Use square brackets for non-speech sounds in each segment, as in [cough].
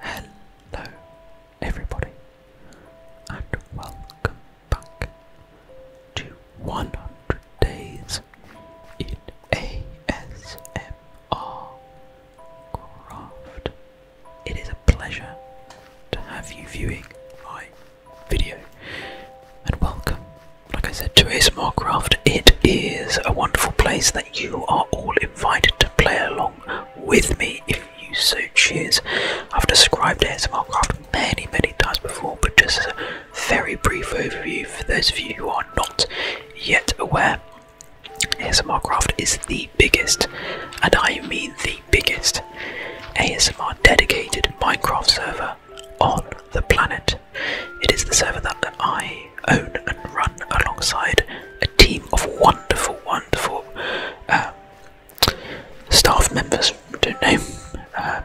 Hello, everybody, and welcome back to 100 Days in ASMR Craft. It is a pleasure to have you viewing my video and welcome, like I said, to ASMR Craft. It is a wonderful place that you are all invited to play along with me if you so choose. I've described ASMR Craft many, many times before, but just a very brief overview for those of you who are not yet aware. ASMR Craft is the biggest, and I mean the biggest, ASMR dedicated Minecraft server on the planet. It is the server that I own and run alongside a team of wonderful, wonderful um, staff members. don't know. Um,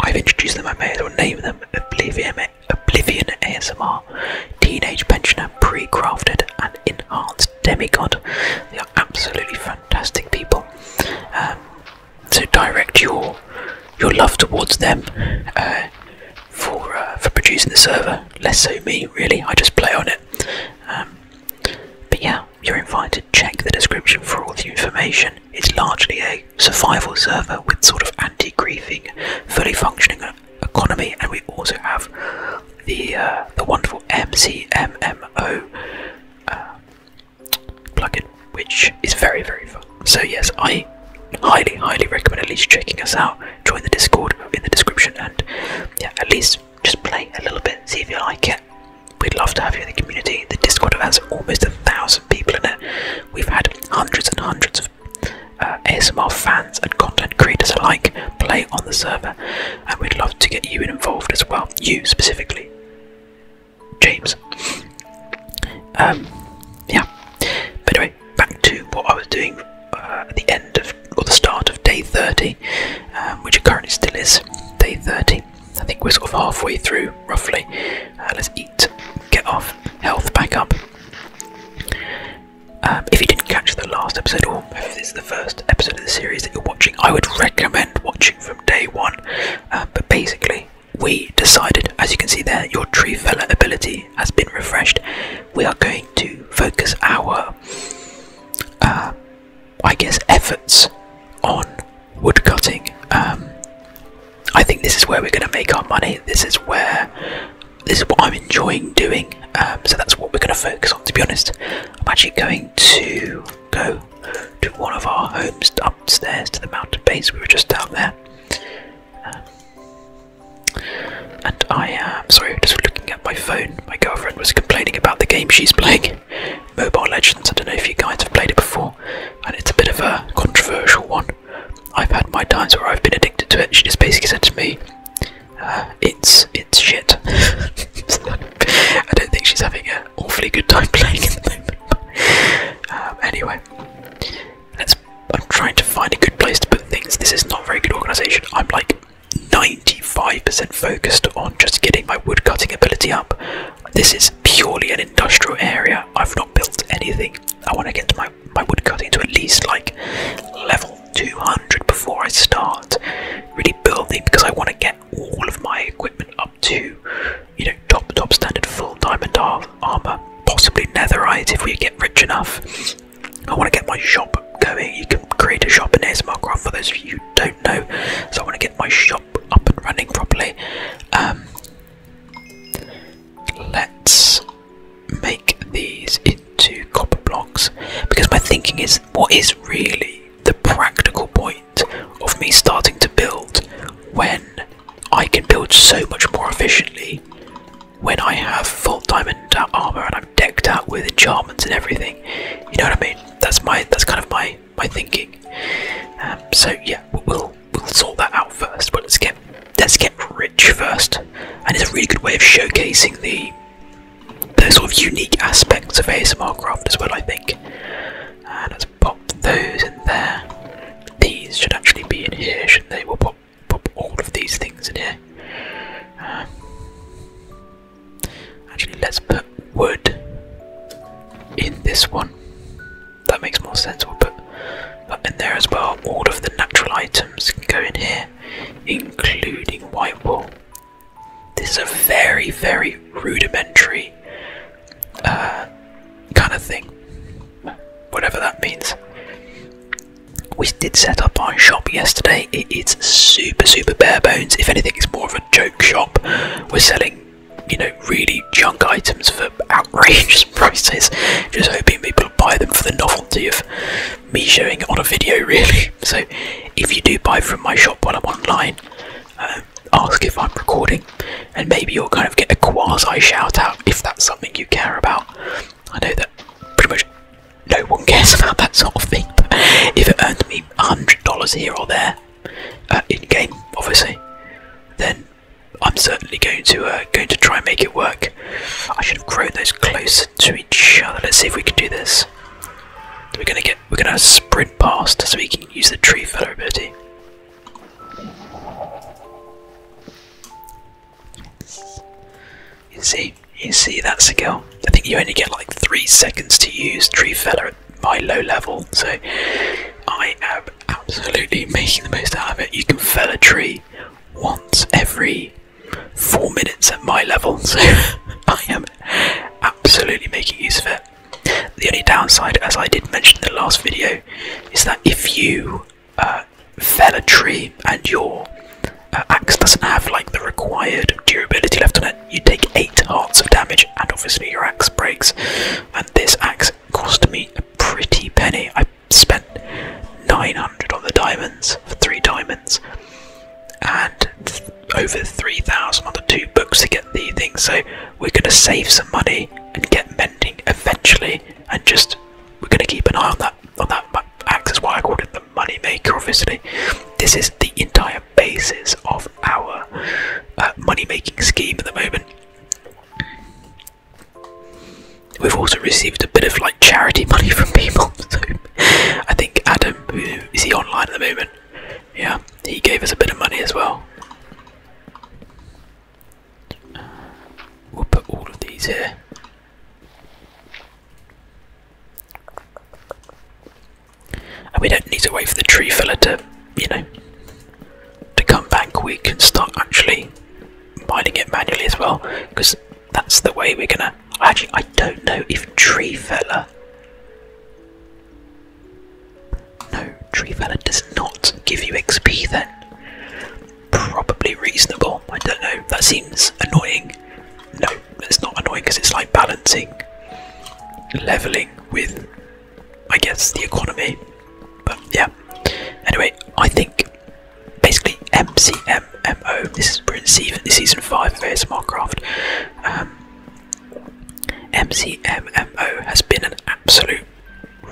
I've introduced them, I may as well name them Oblivion ASMR, Teenage Pensioner, Pre Crafted, and Enhanced demigod. They are absolutely fantastic people. Um, so direct your your love towards them uh, for uh, for producing the server. Less so me, really. I just play on it. Um, but yeah, you're invited. Check the description for all the information. It's largely a survival server with sort of anti-griefing, fully functioning uh, economy, and we also have the uh, the wonderful MCMMO uh, plugin, which is very very fun. So yes, I highly highly recommend at least checking us out. Join the Discord in the description, and yeah, at least just play a little bit, see if you like it. We'd love to have you in the community. The Discord has almost a thousand people in it. We've had hundreds and hundreds of uh, ASMR fans and content creators alike play on the server, and we'd love to get you involved as well. You specifically, James. Um, yeah. But anyway, back to what I was doing uh, at the end of or the start of day 30, um, which it currently still is day 30. I think we're sort of halfway through, roughly. Uh, let's eat, get off, health back up. Um, if you didn't catch the last episode or if this is the first episode of the series that you're watching, I would recommend watching from day one. Um, but basically, we decided, as you can see there, your tree feller ability has been refreshed. We are going to focus our, uh, I guess, efforts on woodcutting. Um, I think this is where we're going to make our money. This is where this is what I'm enjoying doing. Um, so that's what we're going to focus on. To be honest, I'm actually going to go to one of our homes upstairs to the mountain base. We were just down there. Um, and I am uh, um, sorry, just looking at my phone. My girlfriend was complaining about the game she's playing, [laughs] Mobile Legends. I don't know if you guys have played it before, and it's a bit of a controversial one. I've had my times where I've been addicted to it. She just basically said to me, it's it's shit. [laughs] I don't think she's having an awfully good time [laughs] playing um, anyway, I'm trying to find a good place to put things. This is not very good organisation. I'm like 95% focused on just getting my woodcutting ability up. This is purely an industrial area. I've not built anything. I want to get my my woodcutting to at least like level 200 before I start really building because I want to get all of my equipment up to, you know, top top standard full diamond armor, possibly netherite if we get rich enough. I want to get my shop going. You can create a shop in ASMRcraft for those of you don't know. So I want to get my shop up and running properly. Um, let's make these into copper blocks because my thinking is what is really the practical point of me starting to build when I can build so much more efficiently when I have full diamond armor and I'm decked out with enchantments and everything. You know what I mean? That's my that's kind of my my thinking. Um, so yeah, we'll we'll sort that out first. But let's get let's get rich first, and it's a really good way of showcasing the the sort of unique aspects of ASMR craft as well, I think. And uh, let's pop those in there. These should actually be in here, shouldn't they? We'll pop, pop all of these things in here. Um, actually, let's put wood in this one. That makes more sense. We'll put that in there as well. All of the natural items can go in here, including white wool. This is a very, very rudimentary uh, kind of thing, whatever that means. We did set up our shop yesterday. it's super, super bare bones. If anything, it's more of a joke shop. We're selling, you know, really junk items for outrageous [laughs] prices, just hoping people will buy them for the novelty of me showing on a video, [laughs] really. So, if you do buy from my shop while I'm online, uh, ask if I'm recording, and maybe you'll kind of get a quasi shout out if that's something you care about. I know that pretty much no one [laughs] cares about that sort of thing, but if it earned me a $100 here or there, uh, in game obviously, then I'm certainly going to uh, going to try and make it work. I should have grown those closer to each other. Let's see if we can do this. We're gonna get we're gonna sprint past so we can use the tree feller ability. You see, you see that skill. I think you only get like three seconds to use tree feller at my low level, so I am absolutely making the most out of it. You can fell a tree once every four minutes at my level, [laughs] so I am absolutely making use of it. The only downside, as I did mention in the last video, is that if you uh, fell a tree and your uh, axe doesn't have like the required durability left on it, you take 8 hearts of damage and obviously your axe breaks. And this axe cost me a pretty penny. I spent 900 on the diamonds for 3 diamonds and over 3,000 on the two books to get the thing, so we're going to save some money and get mending eventually, and just we're going to keep an eye on that on that axe. That's why I called it the money maker. Obviously, this is the entire basis of our uh, money making scheme at the moment. We've also received a bit of like charity [laughs] money from people. So I think Adam, who is he online at the moment? yeah, he gave us a bit of money as well. we'll put all of these here. And we don't need to wait for the tree fella to, you know, to come back. We can start actually mining it manually as well, because that's the way we're gonna. Actually, I don't know if tree fella no, Tree Felon does not give you XP then. Probably reasonable, I don't know, that seems annoying. No, it's not annoying because it's like balancing, levelling with, I guess, the economy. But yeah, anyway, I think basically MCMMO, this is, we're in season, season 5 of ASMR Craft. Um, MCMMO has been an absolute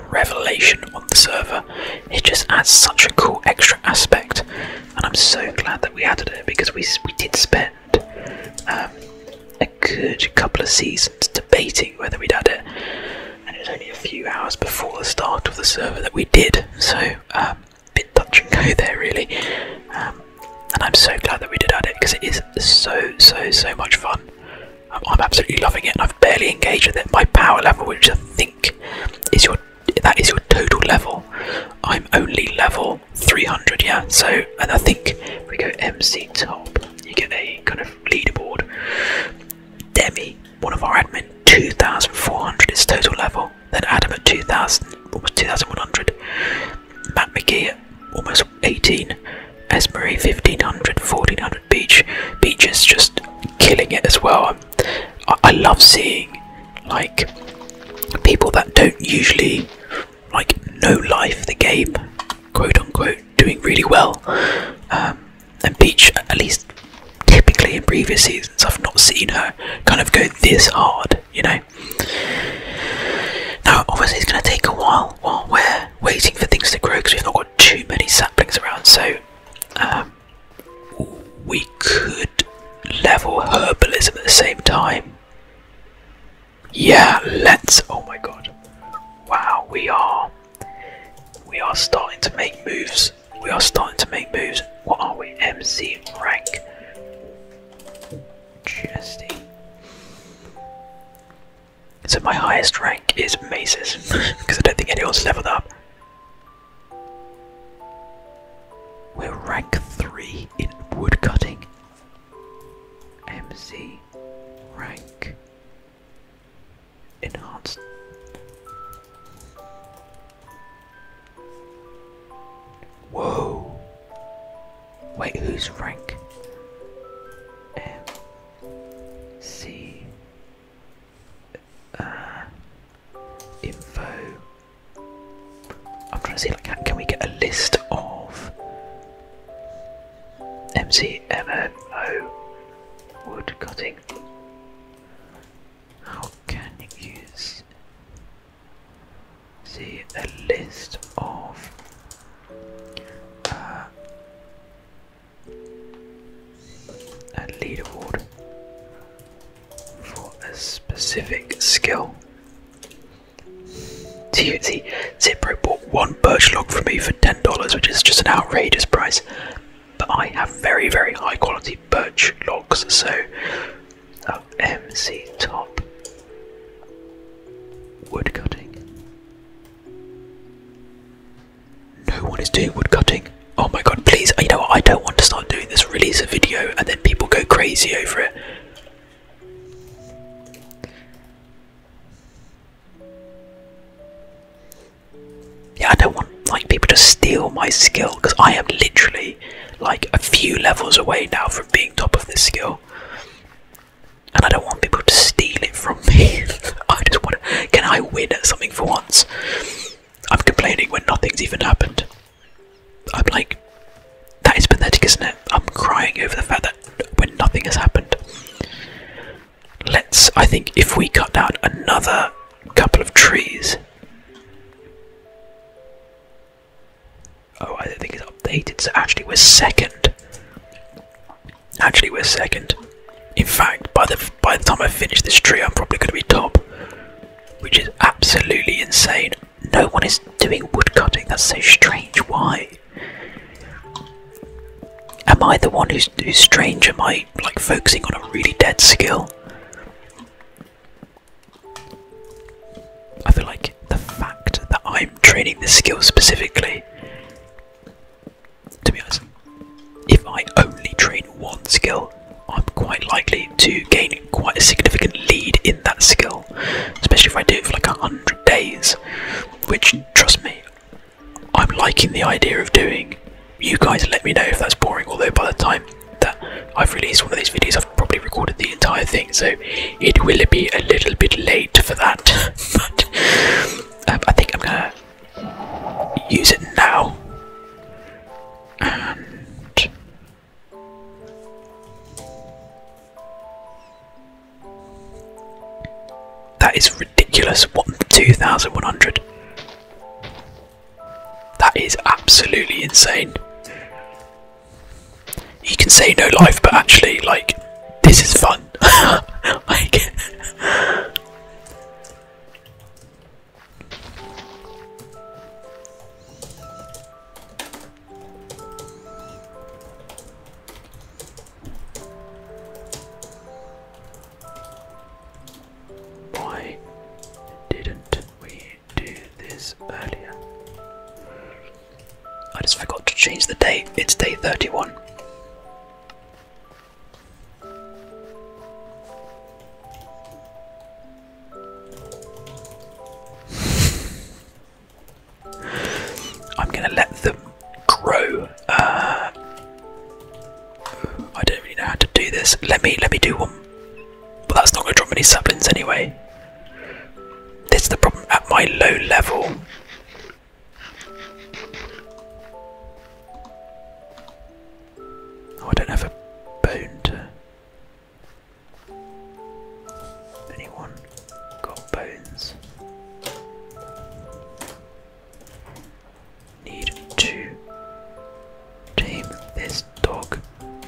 revelation on the server. It just adds such a cool extra aspect, and I'm so glad that we added it because we we did spend um, a good couple of seasons debating whether we'd add it, and it was only a few hours before the start of the server that we did. So a um, bit touch and go there, really. Um, and I'm so glad that we did add it because it is so so so much fun. I'm, absolutely loving it, I've barely engaged with it. My power level, which I think is your that is your total level. I'm only level 300, yeah. So, and I think if we go MC top, you get a kind of leaderboard. Demi, one of our admin, 2,400 is total level. Then Adam at 2,000, almost 2,100. Matt McGee almost 18, Esmerie 1500, 1400 beach. Beach is just killing it as well. I, I love seeing like people that don't usually like know life the game, quote unquote, doing really well. Um, and Beach, at least typically in previous seasons, I've not seen her kind of go this hard, you know. Now, obviously, it's going to take a while while we're waiting for things to grow because we've not got too many saplings around. So, um, we could level herbalism at the same time. Yeah, let's. Oh my god! Wow, we are. We are starting to make moves. We are starting to make moves. What are we? MC rank. Interesting. So my highest rank is Maces, because [laughs] I don't think anyone's leveled up. We're rank 3 in woodcutting. MC rank enhanced. Whoa! Wait, who's rank? M C uh, info. I'm trying to see like can we get a list of MCMMO wood cutting? How can you use see a list of uh, a leaderboard for a specific skill. See, see, Zipro bought one birch log for me for ten dollars, which is just an outrageous price. But I have very, very high quality birch logs, so oh, MC Top Woodcutting. No one is doing woodcutting. Oh my god, please. You know I don't want to start doing this, release a video, and then people go crazy over it. Yeah, I don't want like people to steal my skill because I am literally like a few levels away now from being top of this skill and I don't want people to steal it from me. [laughs] I just want to. Can I win something for once? I'm complaining when nothing's even happened. I'm like, that is pathetic, isn't it? I'm crying over the fact that when nothing has happened. Let's. I think if we cut down another couple of trees. Oh, I don't think it's updated. So actually, we're second. Actually, we're second. In fact, by the by the time I finish this tree, I'm probably going to be top, which is absolutely insane. No one is doing woodcutting. That's so strange. Why? Am I the one who's who's strange? Am I like focusing on a really dead skill? I feel like the fact that I'm training this skill specifically. To be honest, if I only train one skill, I'm quite likely to gain quite a significant lead in that skill, especially if I do it for like a hundred days. Which, trust me, I'm liking the idea of doing. You guys let me know if that's boring, although by the time that I've released one of these videos, I've probably recorded the entire thing so it will be a little bit late for that. [laughs] but um, I think I'm gonna use it now. that is ridiculous. What two thousand one hundred? That is absolutely insane you can say no life, but actually, like, this is fun. [laughs] like, why didn't we do this earlier? I just forgot to change the date. It's day 31. [sighs] I'm gonna let them grow. Uh, I don't really know how to do this. Let me let me do one. But that's not gonna drop any saplings anyway. This is the problem at my low level. Oh, I don't have a bone to. Anyone got bones? Need to tame this dog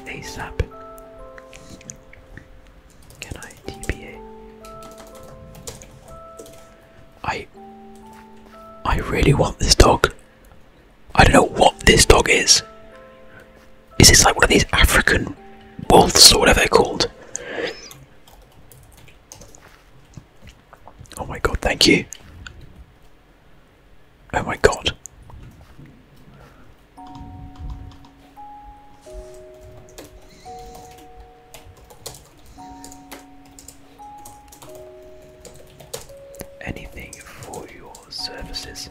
ASAP. Can I TPA? I I really want this dog. I don't know what this dog is. Is this like one of these African wolves or whatever they're called? Oh my god, thank you. Oh my god. Anything for your services.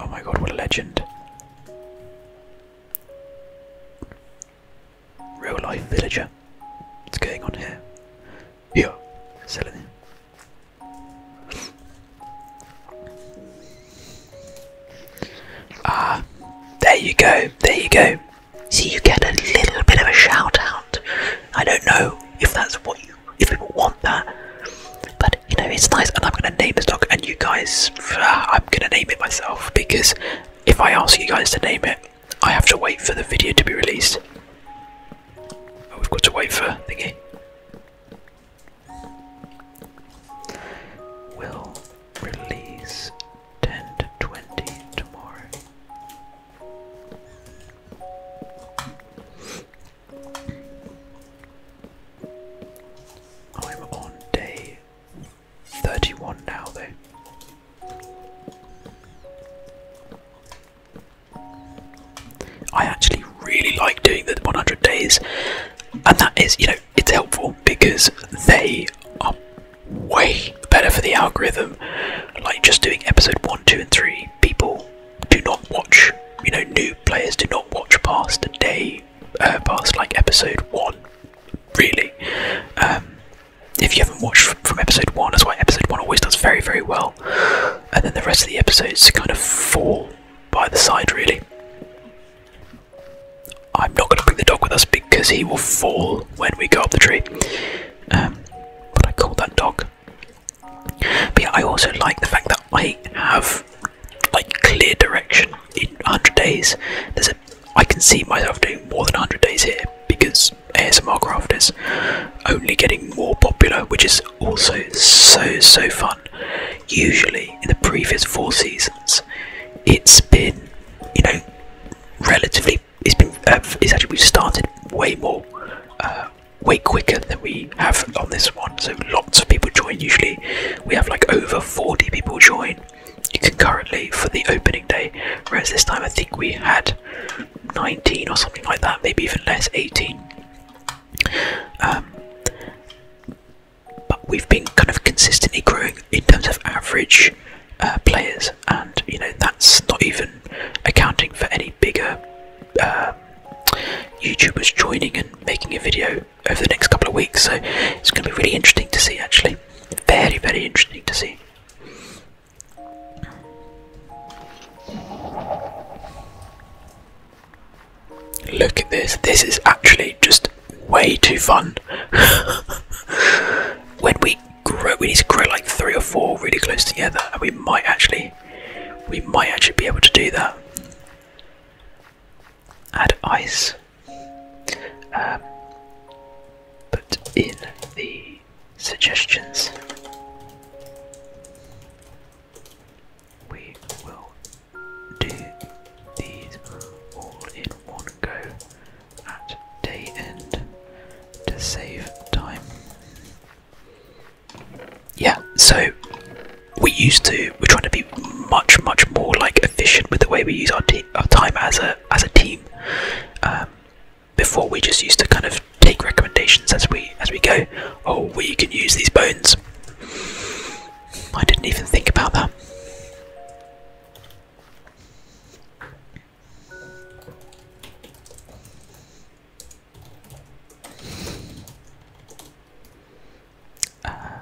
Oh my god, what a legend! Real life villager. What's going on here? Yeah, selling Ah, there you go, there you go. See, you get a little bit of a shout out. I don't know if that's what you, if people want that, but you know, it's nice. And I'm gonna name this dog, and you guys, ah, I'm gonna name it myself because if I ask you guys to name it, I have to wait for the video to be released. Oh, we've got to wait for thingy. We'll release 10 to 20 tomorrow. I'm on day 31 now, though. I actually really like doing the 100 days, and that is, you know, it's helpful because they are way better for the algorithm. Like just doing episode 1, 2, and 3, people do not watch, you know, new players do not watch past the day, uh, past like episode 1, really. Um, if you haven't watched from episode 1, that's why episode 1 always does very, very well. And then the rest of the episodes kind of fall by the side, really. I'm not going to bring the dog with us because he will fall when we go up the tree. Um, but I call that dog. But I also like the fact that I have like clear direction in 100 days. There's a I can see myself doing more than 100 days here because ASMR craft is only getting more popular, which is also so so fun. Usually in the previous four seasons, it's been you know relatively. It's been um, it's actually we've started way more, uh, way quicker than we have on this one. So lots of people join. Usually we have like over forty people join concurrently for the opening day, whereas this time I think we had nineteen or something like that, maybe even less, eighteen. Um, but we've been kind of consistently growing in terms of average uh, players, and you know that's not even accounting for any bigger uh, YouTubers joining and making a video over the next couple of weeks. So it's going to be really interesting to see, actually, very very interesting to see. Look at this. This is actually just way too fun. [laughs] when we grow, we need to grow like three or four really close together, and we might actually, we might actually be able to do that. Add ice. Uh, put in the suggestions. We will do these all in one go at day end to save time. Yeah, so we used to we're trying to be much much more like efficient with the way we use our, our time as a as a team. Um, before we just used to kind of take recommendations as we as we go. Oh, we can use these bones. I didn't even think about that. Uh,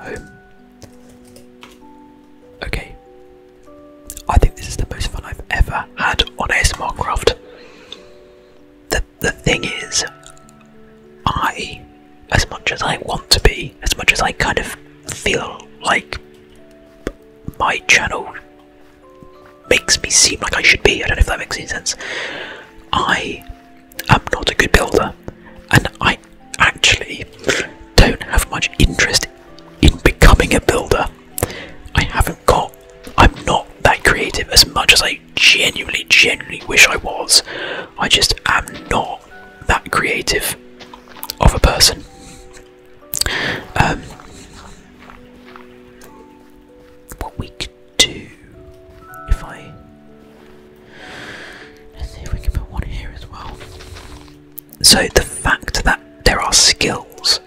oh. Okay. I think this is the most fun I've ever had on ASMR Craft the, thing is, I, as much as I want to be, as much as I kind of feel like my channel makes me seem like I should be, I don't know if that makes any sense, I am not a good builder, and I actually don't have much interest in becoming a builder. I haven't got, I'm not that creative as much as I genuinely, genuinely wish I was. I just am not that creative of a person. Um, what we could do if I. Let's see if we can put one here as well. So the fact that there are skills,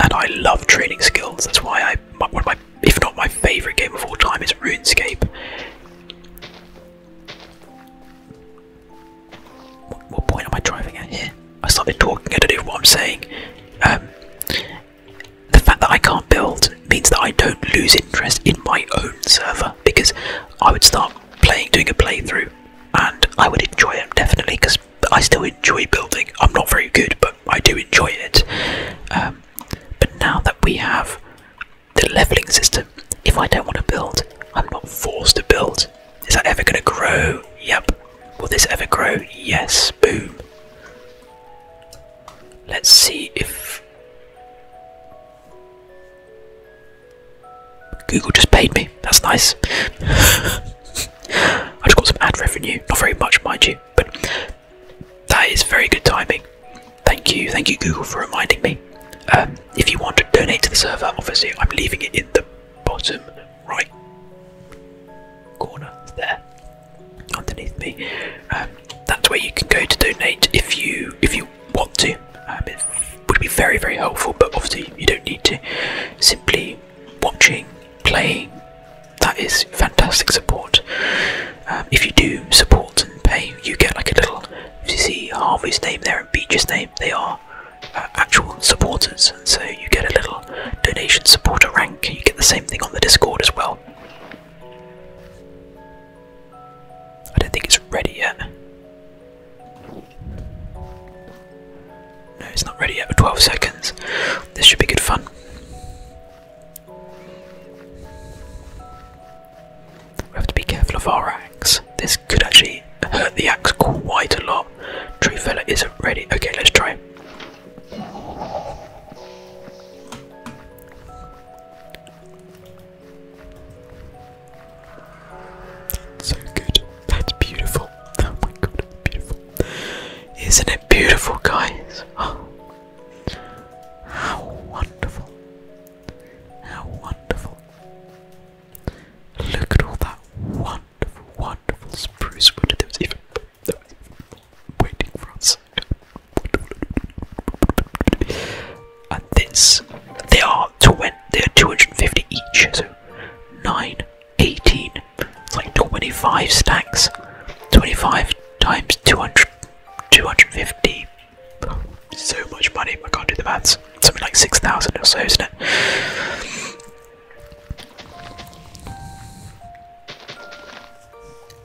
and I love training skills. That's why I one of my if not my favourite game of all time, is RuneScape. What, point am I driving at here? I started talking, I don't know what I'm saying. Um, the fact that I can't build means that I don't lose interest in my own server because I would start playing, doing a playthrough, and I would enjoy it definitely because I still enjoy building. I'm not very good, but I do enjoy it. Um, but now that we have the leveling system. If I don't want to build, I'm not forced to build. Is that ever going to grow? Yep. Will this ever grow? Yes. Boom. Let's see if Google just paid me. That's nice. [laughs] I just got some ad revenue. Not very much, mind you, but that is very good timing. Thank you, thank you, Google, for reminding me. Um, if you want to donate to the server, obviously I'm leaving it in the bottom right corner there, underneath me. Um, that's where you can go to donate if you if you want to. Um, it would be very very helpful, but obviously you don't need to. Simply watching, playing, that is fantastic support. Um, if you do support and pay, you get like a little. If you see Harvey's name there and Beach's name, they are uh, actual supporters, and so you get a little donation supporter rank. You get the same thing on the Discord as well. I don't think it's ready yet. No, it's not ready yet for 12 seconds. This should be good fun. We have to be careful of our axe. This could actually hurt the axe quite a lot. Tree fella isn't ready. Okay, let's try. So good. That's beautiful. Oh my god, beautiful. Isn't it beautiful, guys? [gasps] how wonderful. How wonderful! Look at all that wonderful, wonderful spruce wood. that was even there was even waiting for us. And this, they are twenty. They are two hundred and fifty each. So nine, eighteen. It's like twenty-five stacks. Twenty-five times 200, 250 so much money, I can't do the maths. Something like 6,000 or so, isn't it?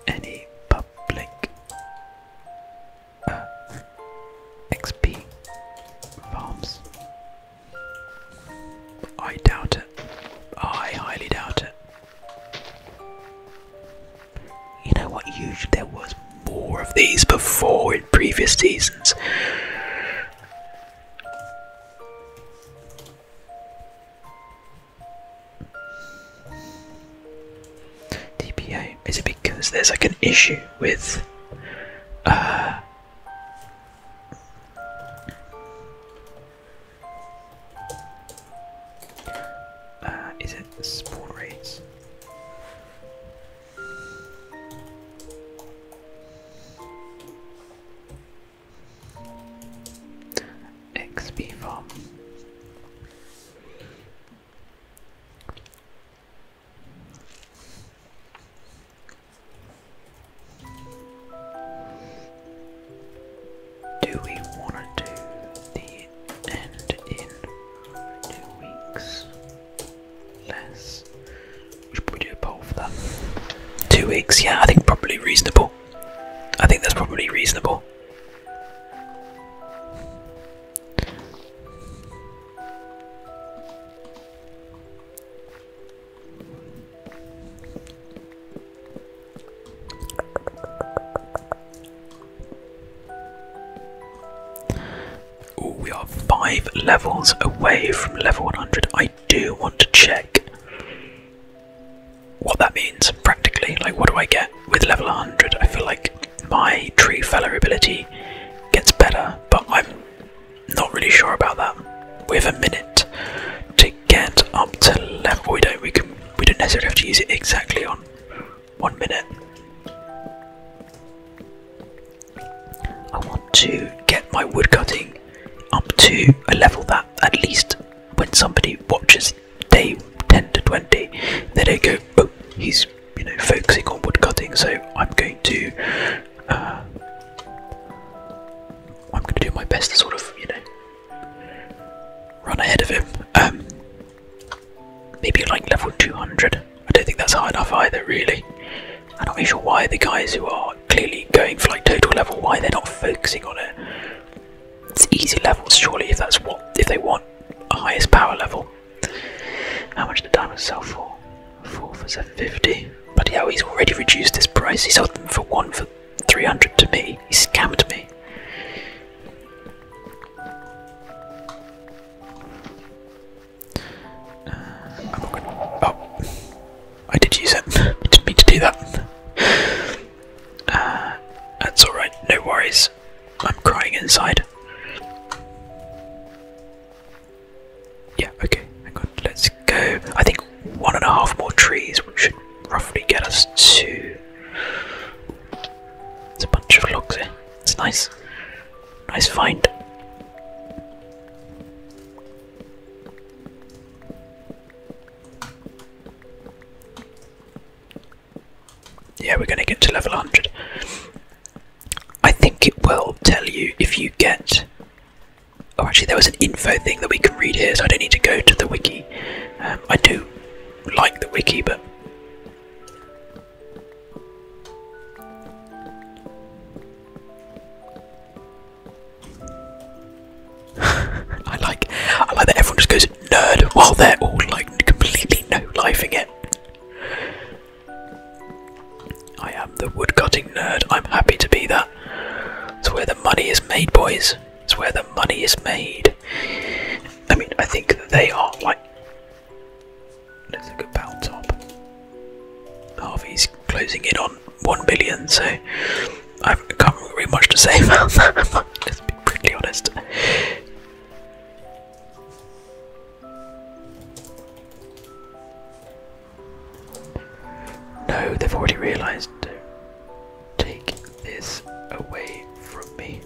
Any public uh, XP bombs? I doubt it. I highly doubt it. You know what? Usually there was more of these before in previous seasons. DPA. Is it because there's like an issue with uh, uh, is it sport rates? XP farm. Do we want to do the and in two weeks less. We should probably do that. Two weeks, yeah, I think probably reasonable. I think that's probably reasonable we are five levels away from level 100. I do want to check what that means practically. Like, what do I get with level 100? I feel like my tree feller ability gets better, but I'm not really sure about that. We have a minute to get up to level. We don't. We can. We don't necessarily have to use it exactly on one minute. I want to get my woodcutting up to a level that at least when somebody watches day 10 to 20, they don't go, oh, he's you know focusing on woodcutting, so I'm going to uh, I'm going to do my best to sort of you know run ahead of him. Um, Maybe like level 200. I don't think that's high enough either, really. I'm not really sure why the guys who are clearly going for like total level, why they're not focusing on it. It's easy levels, surely, if that's what if they want a highest power level. How much the diamonds sell for? Four for 750. But yeah, he's already reduced his price. He sold them for one for 300 to me. He scammed me. Uh, i oh, I did use it. [laughs] I didn't mean to do that. Uh, that's alright, no worries. I'm crying inside. Yeah, okay, hang on, let's go. I think one and a half more trees should roughly get us to. There's a bunch of logs here. It's nice. Nice find. Yeah, we're going to get to level 100. I think it will tell you if you get. Oh, actually, there was an info thing that we can read here, so I don't need to go to the wiki. Um, I do like the wiki, but [laughs] I like I like that everyone just goes nerd while they're all like completely no lifing it. I am the woodcutting nerd, I'm happy to be that. It's where the money is made, boys. It's where the money is made. I mean I think that they are like Let's look at Pound Top. Harvey's closing in on 1 billion, so I have not really much to say [laughs] [laughs] Let's be brutally honest. No, they've already realised. Take this away from me.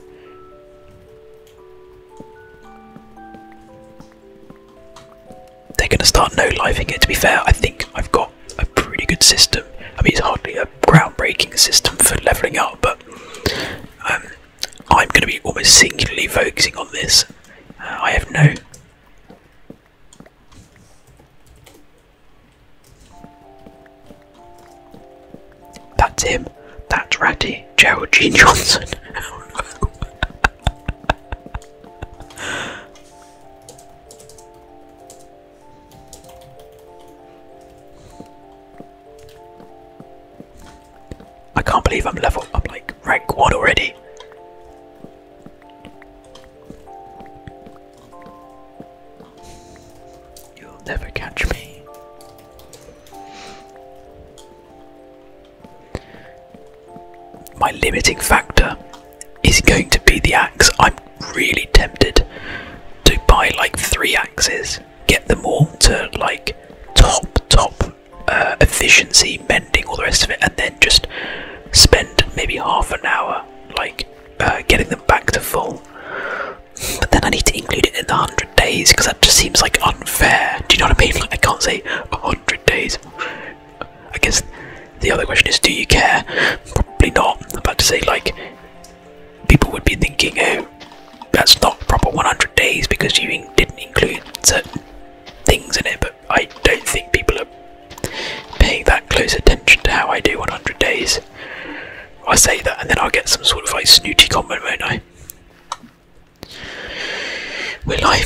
They're going to start no living it. To be fair, I think I've got a pretty good system. I mean, it's hardly a groundbreaking system for leveling up, but um, I'm going to be almost singularly focusing on this. Uh, I have no. That's him. That's Ratty. Gerald G. Johnson. [laughs] I can't believe I'm level. I'm like rank one already. You'll never catch me. My limiting factor is going to be the axe. I'm really tempted to buy like three axes, get them all to like top, top uh, efficiency, mending, all the rest of it, and then just spend maybe half an hour like uh, getting them back to full. But then I need to include it in the hundred days because that just seems like unfair. Do you know what I mean? Like, I can't say 100 days. I guess the other question is do you care? Probably not. I'm about to say, like, people would be thinking, oh, that's not proper 100 days because you didn't include certain things in it, but I don't think people are paying that close attention to how I do 100 days. I say that and then I'll get some sort of like snooty comment, won't I? Will I?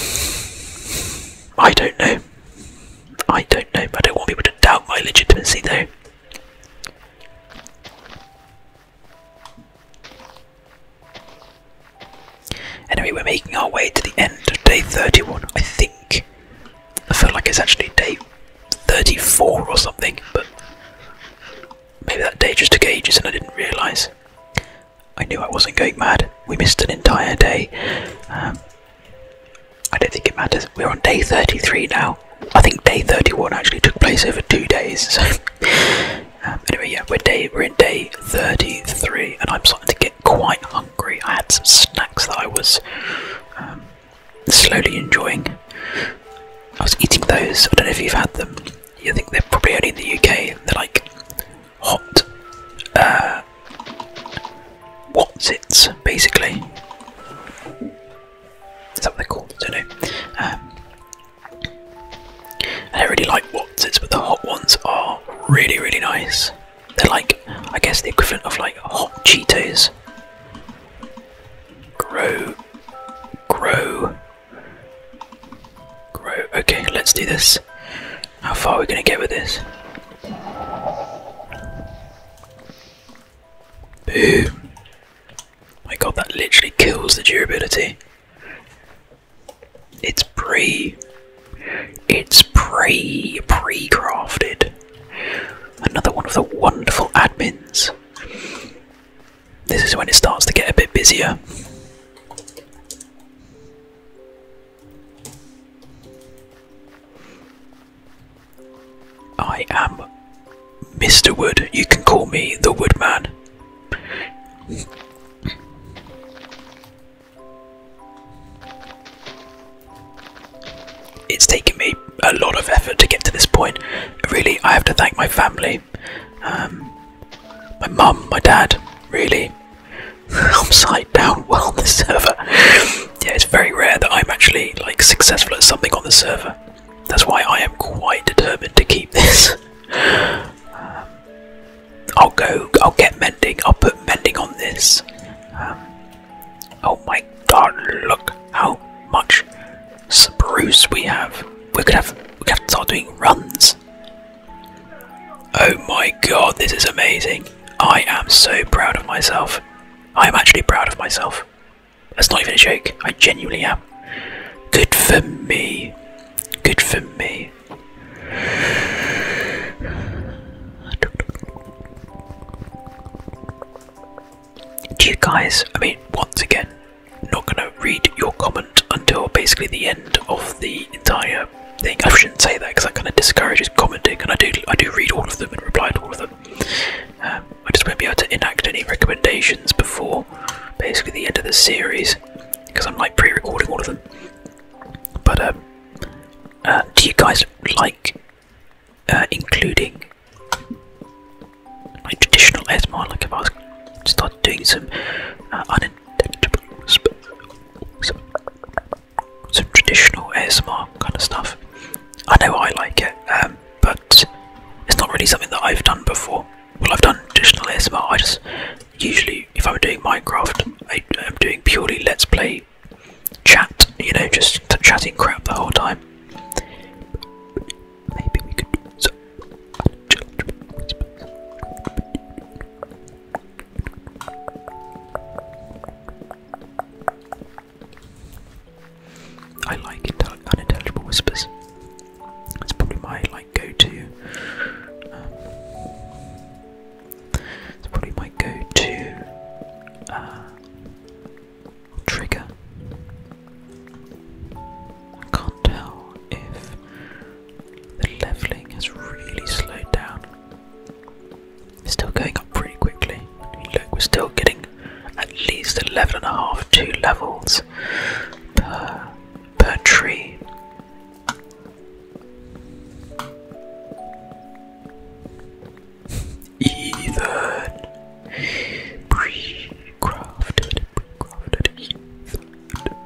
I don't know. I don't know. I don't want people to doubt my legitimacy though. Anyway, we're making our way to the end of day 31, I think. I feel like it's actually day 34 or something, but Maybe that day just took ages and I didn't realise. I knew I wasn't going mad. We missed an entire day. Um, I don't think it matters. We're on day 33 now. I think day 31 actually took place over two days. [laughs] So. Um, anyway, yeah, we're day we're in day 33, and I'm starting to get quite hungry. I had some snacks that I was um, slowly enjoying. I was eating those. I don't know if you've had them you think they're probably only in the UK. They're like hot uh, what's it basically. Something that what they're I don't know. Um, I really like Watsits, but the hot ones are really, really nice. They're like, I guess, the equivalent of like hot Cheetos. Grow, grow, Okay, let's do this. How far are we going to get with this? Boom. My god, that literally kills the durability. It's pre. It's pre. pre crafted. Another one of the wonderful admins. This is when it starts to get a bit busier. I am Mr. Wood. You can call me the Woodman. It's taken me a lot of effort to get to this point. Really, I have to thank my family. Um, my mum, my dad, really. I'm [laughs] side down well on the server. yeah, it's very rare that I'm actually like successful at something on the server. That's why I am quite determined to keep this. [laughs] Um, I'll go. I'll get mending. I'll put mending on this. Um, oh my god! Look how much spruce we have. We could have. We could have to start doing runs Oh my god, this is amazing. I am so proud of myself. I am actually proud of myself. That's not even a joke. I genuinely am. Good for me. Good for me. Do you guys, I mean, once again, not going to read your comment until basically the end of the entire thing. I shouldn't say that because that kind of discourages commenting, and I do I do read all of them and reply to all of them. Um, I just won't be able to enact any recommendations before basically the end of the series because I'm like pre-recording all of them. But um, uh, do you guys like uh, including like traditional ASMR? Like if I was start doing some un uh, some, traditional ASMR kind of stuff. I know I like it, um, but it's not really something that I've done before. Well, I've done traditional ASMR. I just usually, if I'm doing Minecraft, I, am doing purely Let's Play chat. You know, just chatting crap the whole time. Maybe we could. I like unintelligible whispers. It's probably my like go-to. Um, it's probably my go-to uh, trigger. can't tell if the leveling has really slowed down. It's still going up pretty quickly. Look, we're still getting at least 11 and a half, two levels per, per tree. Ethan, pre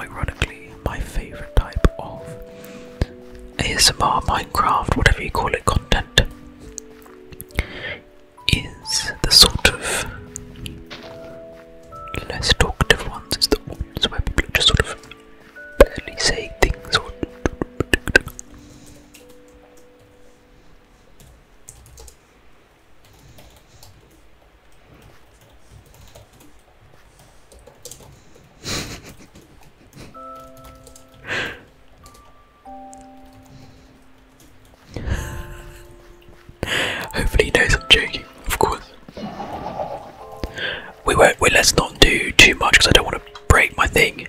Ironically, my favorite type of ASMR, Minecraft, whatever you call it, content is the sort of less talkative ones. It's the ones where people just sort of barely say things [laughs] Hopefully he knows I'm joking, of course. We won't. We let's not do too much because I don't want to break my thing.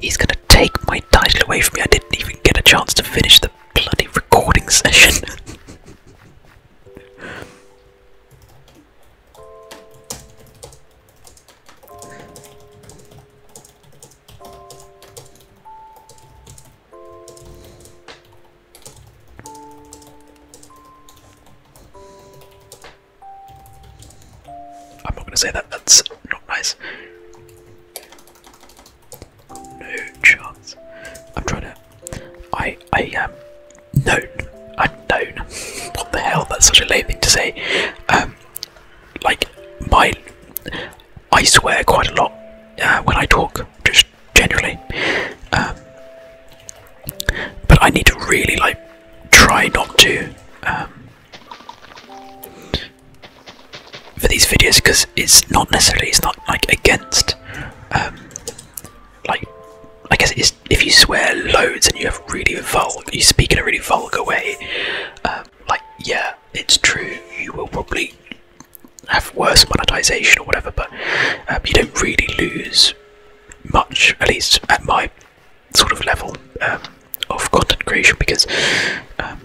He's gonna take my title away from me. I didn't even get a chance to finish the bloody recording [laughs] session. I'm not gonna say that, that's not nice. No chance. I'm trying to I I am um, known. I'm known. what the hell? That's such a lame thing to say. Um like my I swear quite a lot uh, when I talk, just generally. Um, but I need to really like try not to um, for these videos because it's not necessarily it's not like against um, like I guess if you swear loads and you have really vulgar you speak in a really vulgar way like yeah it's true you will probably have worse monetization or whatever, but um, you don't really lose much, at least at my sort of level um, of content creation, because um,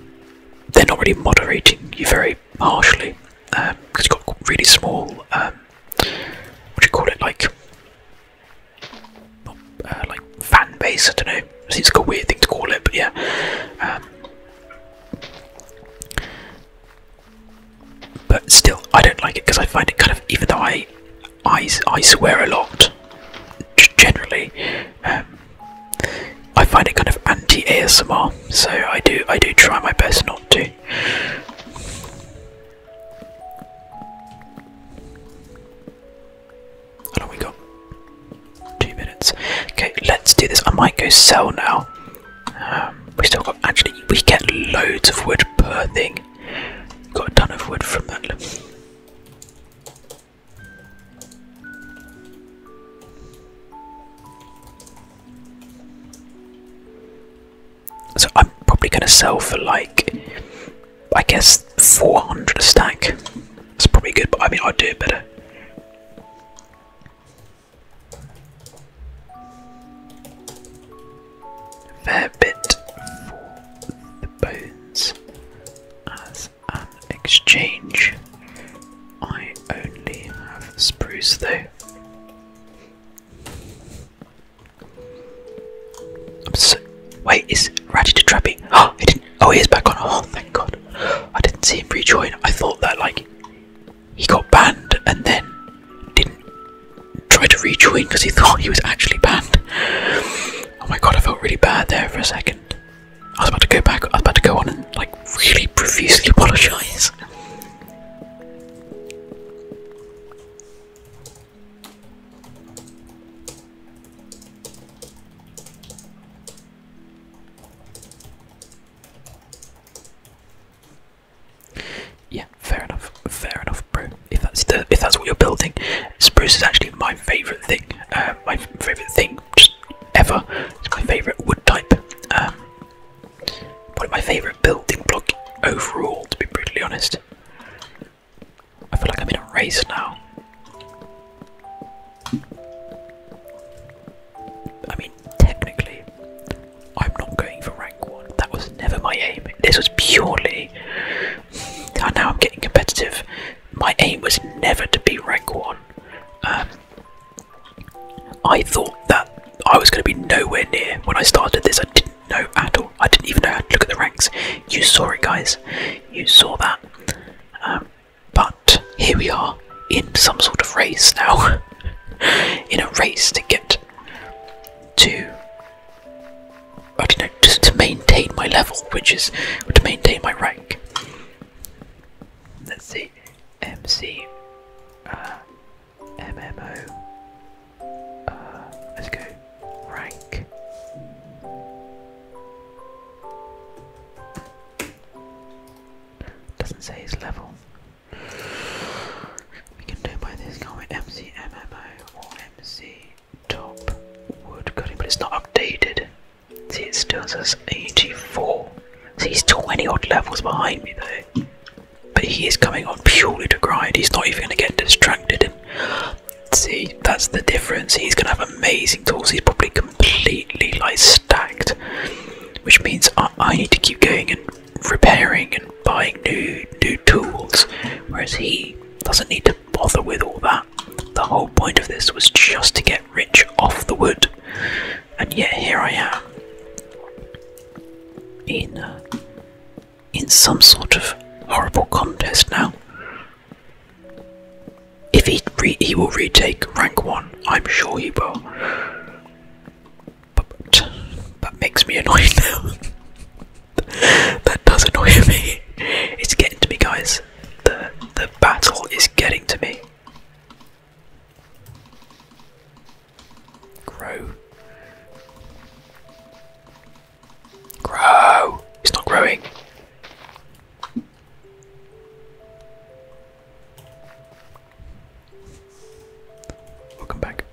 they're not really moderating you very harshly, because um, you've got really small, what do you call it, like, uh, like fan base, I don't know, it seems like a weird thing to call it, but yeah. But still, I don't like it because I find it kind of, even though I, I, I swear a lot, generally, um, I find it kind of anti-ASMR. So I do, I do try my best not to. How long we got? Two minutes. Okay, let's do this. I might go sell now we still got actually we get loads of wood per thing. Got a ton of wood from that. So I'm probably going to sell for like, I guess, 400 a stack. That's probably good, but I mean, I'd do it better. Fair bit for the bones as an exchange. I only have spruce though. wait, is Ratty to Trappy? Oh, [gasps] he didn't. Oh, he is back on. Oh, thank God. [gasps] I didn't see him rejoin. I thought that like he got banned and then didn't try to rejoin because he thought he was actually banned. Oh my god, I felt really bad there for a second. I was about to go back, I was about to go on and like really profusely apologise. Yeah, fair enough. Fair enough, bro. If that's the, if that's what you're building, spruce is actually my favourite thing. Uh, my favourite thing just ever. It's my favourite wood type. Um, of my favourite building block overall, to be brutally honest. I feel like I'm in a race now. I mean, technically, I'm not going for rank one. That was never my aim. This was purely. And now I'm getting competitive. My aim was never to be rank one. Um, I thought that I was going to be nowhere near when I started this. I didn't know at all. I didn't even know how to look at the ranks. You saw it, guys. You saw that. Um, but here we are in some sort of race now. [laughs] in a race to get to I don't know, just to maintain my level, which is to maintain my rank. Let's see, MC, uh, uh, let's go rank. Doesn't say his level. We can do it by this, guy with MCMMO or MC Top Wood Cutting, but it's not updated. See, it still says 84. See, he's 20 odd levels behind me though. But he is coming on purely to grind. He's not even going to get distracted. see, that's the difference. He's going to have amazing tools. He's probably completely like stacked, which means I, I need to keep going and repairing and buying new new tools, whereas he doesn't need to bother with all that. The whole point of this was just to get rich off the wood, and yet here I am in uh, in some sort of horrible contest now. If he he will retake rank one, I'm sure he will. But that makes me annoyed now. [laughs] that does annoy me. It's getting to me, guys. The the battle is getting to me. Grow. Grow. It's not growing. Welcome back.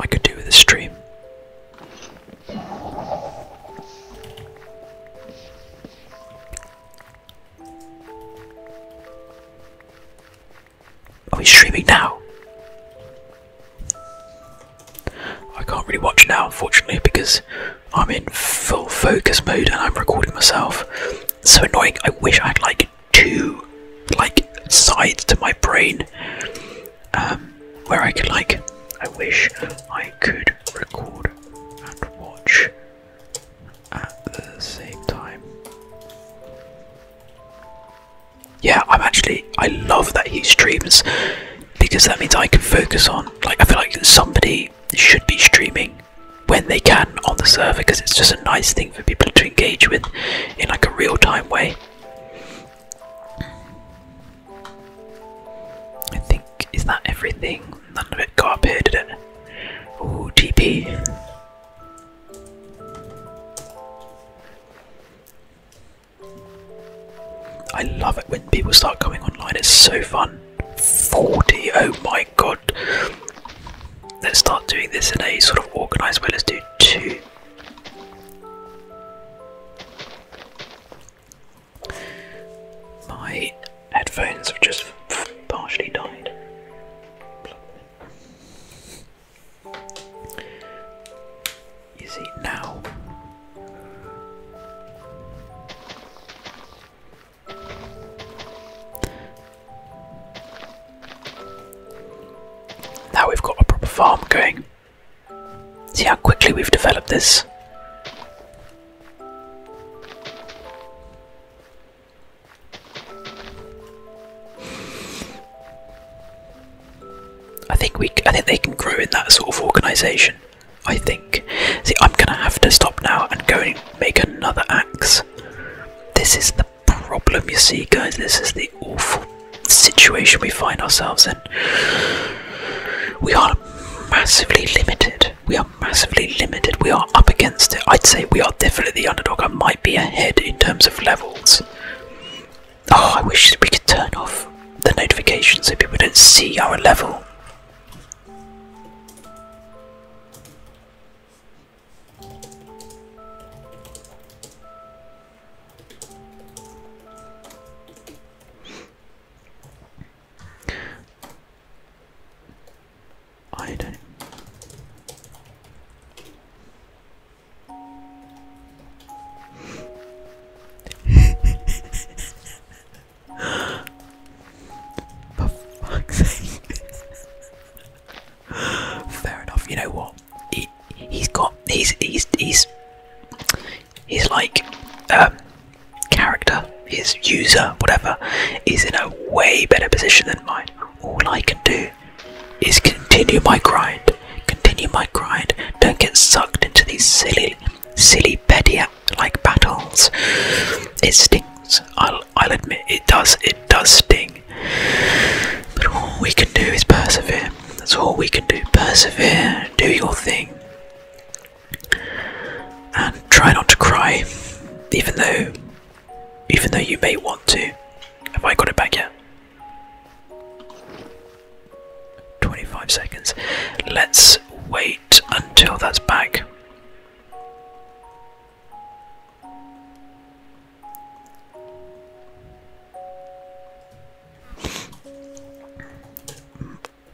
I could do this stream. Are we streaming now? I can't really watch now, unfortunately, because I'm in full focus mode and I'm recording myself. so annoying. I wish I had like two like sides to my brain um, where I could like. I wish I could record and watch at the same time yeah, I'm actually I love that he streams because that means I can focus on like I feel like somebody should be streaming when they can on the server because it's just a nice thing for people to engage with in like a real time way. I think is that everything? None of it got up here, did it? Ooh, TP. I love it when people start coming online, it's so fun. 40, oh my god. Let's start doing this in a sort of organised way. Let's do two. My headphones have just partially died. You see, now now we've got a proper farm going. See how quickly we've developed this. I think we, I think they can grow in that sort of organisation. I think. See, I'm gonna have to stop now and go and make another axe. This is the problem, you see, guys. This is the awful situation we find ourselves in. We are massively limited. We are massively limited. We are up against it. I'd say we are definitely the underdog. I might be ahead in terms of levels. Oh, I wish we could turn off the notifications so people don't see our level. I don't. Fair enough. You know what? He he's got he's he's he's he's like um character, his user, whatever, is in a way better position than mine. All I can do is continue my grind. Continue my grind. Don't get sucked into these silly, silly petty like battles. It stings. I'll, I'll admit it does. It does sting. But all we can do is persevere. That's all we can do. Persevere. Do your thing. And try not to cry, even though, even though you may want to. Have I got it back yet? 25 seconds. Let's wait until that's back.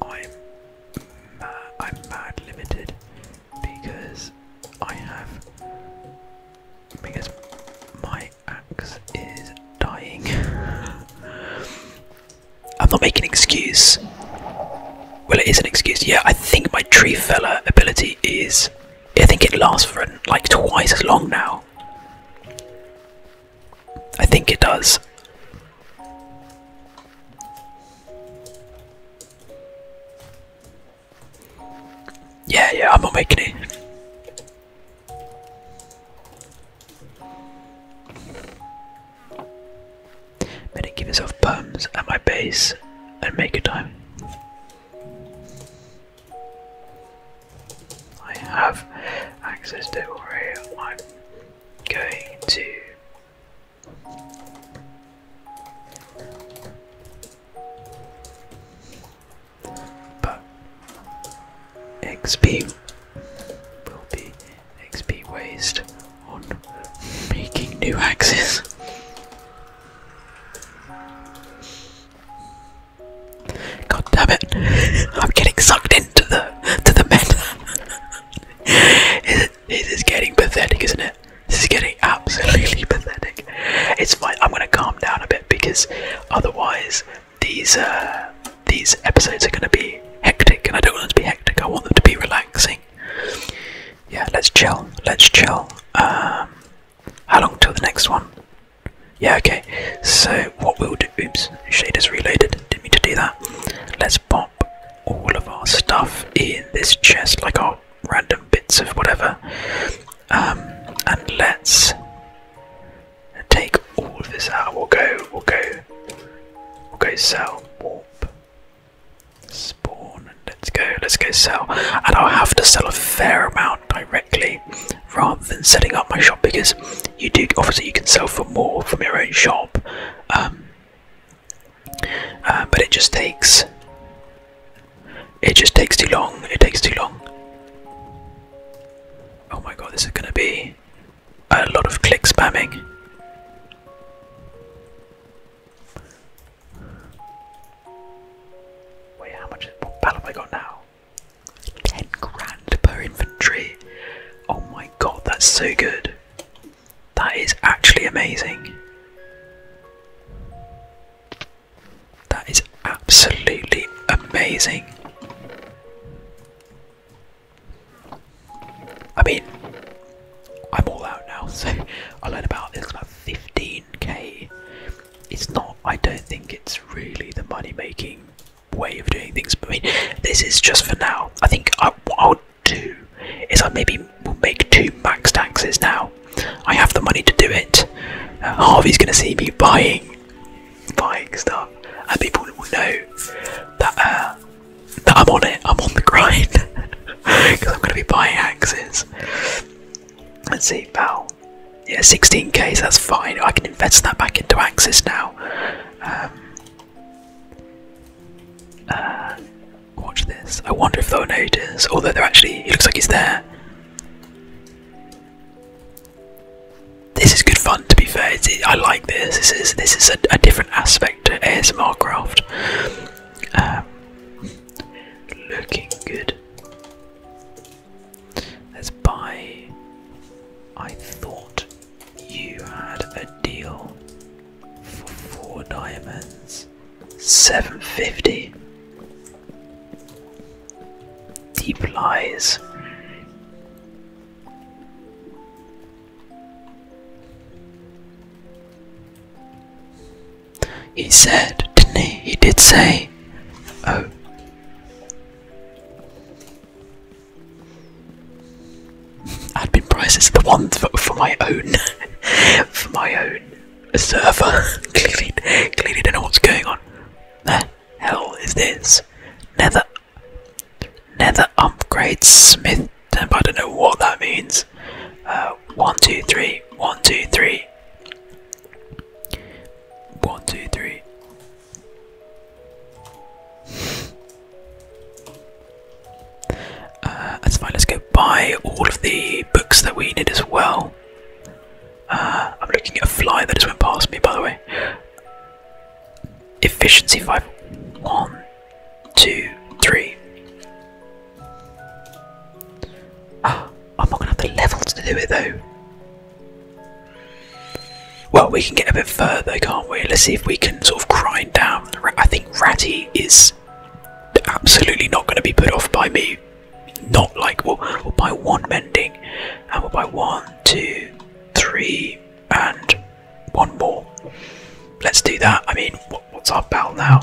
I'm I'm mad limited because I have because my my is dying. [laughs] I'm not making an excuse. Well, it is an excuse. Yeah, I think my tree fella ability is. I think it lasts for like twice as long now. I think it does. Yeah, yeah, I'm not making it. Better give yourself perms at my base and make a time. I have access to I'm going to but XP will be XP wasted on making new axes. God damn it! [laughs] I'm getting sucked into the to the meta. it, [laughs] it is getting pathetic, isn't it? This is getting absolutely pathetic. It's fine. I'm gonna calm down a bit because otherwise these uh, these episodes are going to be hectic, and I don't want them to be hectic. I want them to be relaxing. Yeah, let's chill. Let's chill. Um, how long till the next one? Yeah, okay. So what we'll do? Oops, shaders reloaded. Didn't mean to do that. Let's pop all of our stuff in this chest, like our random bits of whatever, um, and let's take all of this out. We'll go, we'll go, we'll go sell, warp, spawn, let's go, let's go sell. And I'll have to sell a fair amount directly rather than setting up my shop because you do, obviously you can sell for more from your own shop. Um, uh, but it just takes, it just takes too long, it takes too long. Oh my god, this is gonna be a lot of click spamming. Wait, how much battle have I got now? 10 grand per inventory. Oh my god, that's so good. That is actually amazing. That is absolutely amazing. I mean, I'm all out now, [laughs] so I learned about it's about 15k. It's not, I don't think it's really the money making way of doing things, I mean, this is just for now. I think I, will do is I maybe will make two max taxes now. I have the money to do it. Uh, Harvey's gonna see me buying fighting stuff, and people will know uh, that I'm on it. I'm on the grind because [laughs] I'm going to be buying axes. Let's see, pal. Yeah, 16k. that's fine. I can invest that back into axes now. Um, uh, watch this. I wonder if they'll notice. Although they're actually, he looks like he's there. This is good fun. To be fair, I like this. This is this is a, different aspect to ASMR craft. Um, looking good. Let's buy. I thought you had a deal for four diamonds, seven fifty. Deep lies. He said, didn't he? did say, oh. Admin prices are the one for, my own, [laughs] for my own server. [laughs] clearly, clearly don't know what's going on. The hell is this? Never." Nether upgrade smith I don't know what that means. Uh, one, two, three. One, two, three. One, two, three. Uh, that's fine. Let's go buy all of the books that we need as well. Uh, I'm looking at a fly that just went past me, by the way. Efficiency 5. 1, 2, 3. Ah, I'm not going to have the levels to do it though. Well, we can get a bit further, can't we? Let's see if we can sort of grind down. I think Ratty is absolutely not going to be put off by me. Not like, we'll, one mending and by one, two, three, and one more. Let's do that. I mean, what's our battle now?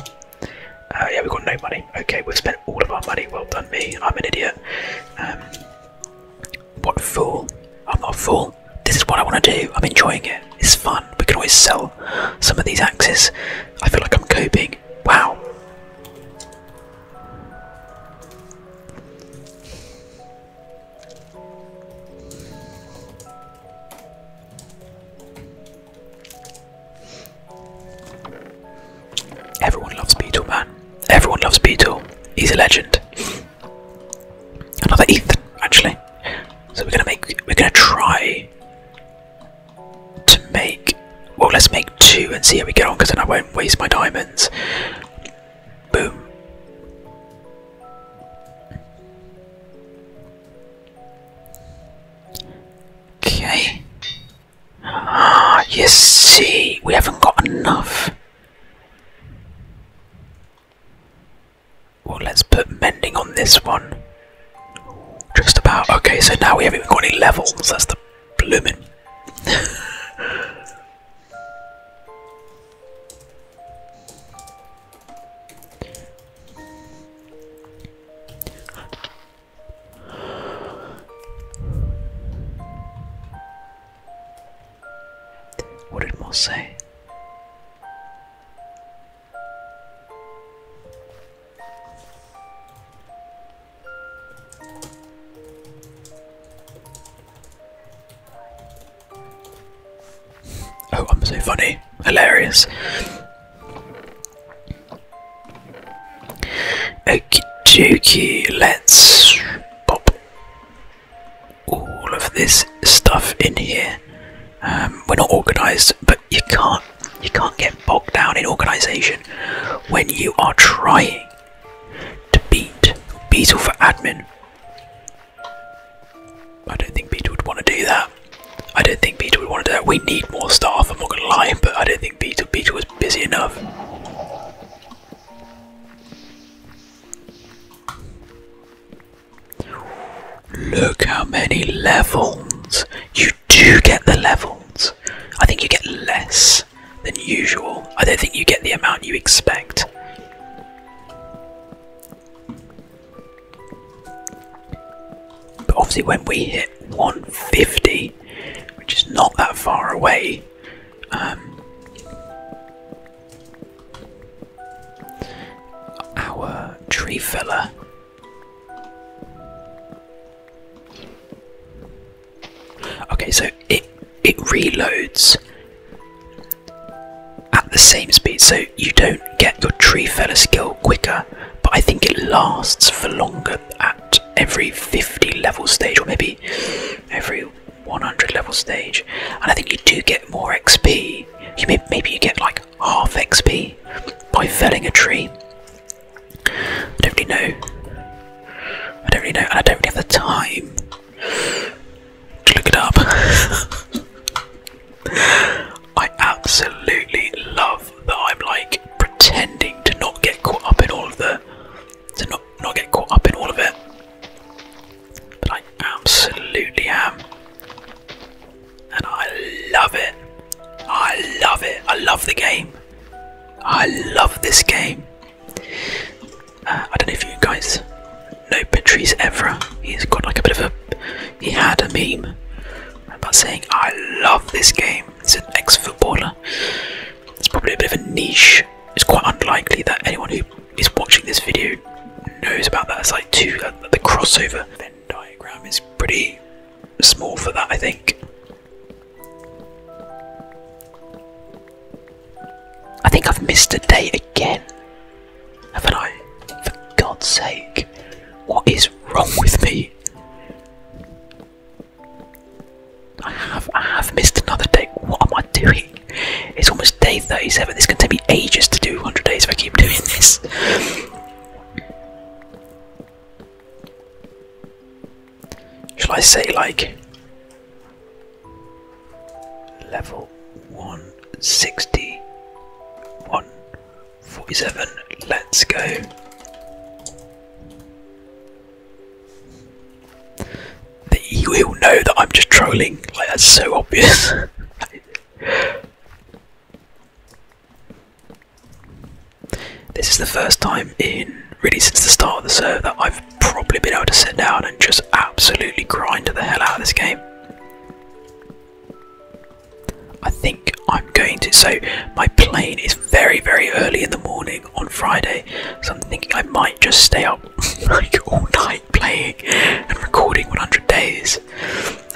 Uh, yeah, we've got no money. Okay, we've spent all of our money. Well done, me. I'm an idiot. Um, what fool. I'm not a fool. This is what I want to do. I'm enjoying it. It's fun. We can always sell some of these axes. I feel like I'm coping. Wow. Everyone loves Beetle, man. Everyone loves Beetle. He's a legend. Another Ethan, actually. So we're gonna make we're gonna try to make well let's make two and see how we get on because then I won't waste my diamonds. Boom. Okay. Ah, you see, we haven't got enough. Well, let's put mending on this one. Just about. Okay, so now we haven't even got any levels. That's the blooming. [laughs] What did Mo say? Oh, I'm so funny. Hilarious. Okay, dokie, let's pop all of this stuff in here. Um, we're not organised, but you can't you can't get bogged down in organisation when you are trying to beat Beetle for admin. I don't think Peter would want to do that. I don't think Peter would want to do that. We need more staff, I'm not going to lie, but I don't think Peter, Peter was busy enough. Look how many levels. You do get the levels. I think you get less than usual. I don't think you get the amount you expect. But obviously, when we hit 150, which is not that far away, um, our tree filler okay so it it reloads at the same speed, so you don't get your tree feller skill quicker, but I think it lasts for longer at every 50 level stage, or maybe every 100 level stage. And I think you do get more XP. maybe you get like half XP by felling a tree. I don't really know. I don't really know, and I don't really have the time Look it up. [laughs] I absolutely love that I'm like pretending to not get caught up in all of the to not not get caught up in all of it. But I absolutely am. And I love it. I love it. I love the game. I love this game. Uh, I don't know if you guys know Patrice Evra. He's got like a bit of a. He had a meme about saying, I love this game. He's an ex footballer. It's probably a bit of a niche. It's quite unlikely that anyone who is watching this video knows about that. It's like two. Uh, the crossover Venn diagram is pretty small for that, I think. I think I've missed a day again. Haven't I? For God's sake. What is wrong with me? I have I have missed another day. What am I doing? It's almost day 37. This is going to take me ages to do 100 days if I keep doing this. Shall I say like Level 160. 147. Let's go. You will know that I'm just trolling. Like, that's so obvious. [laughs] this is the first time in really since the start of the server that I've probably been able to sit down and just absolutely grind to the hell out of this game. I think I'm going to. So, my plane is very, very early in the morning on Friday, so I'm thinking I might just stay up [laughs] like all night playing and recording 100 days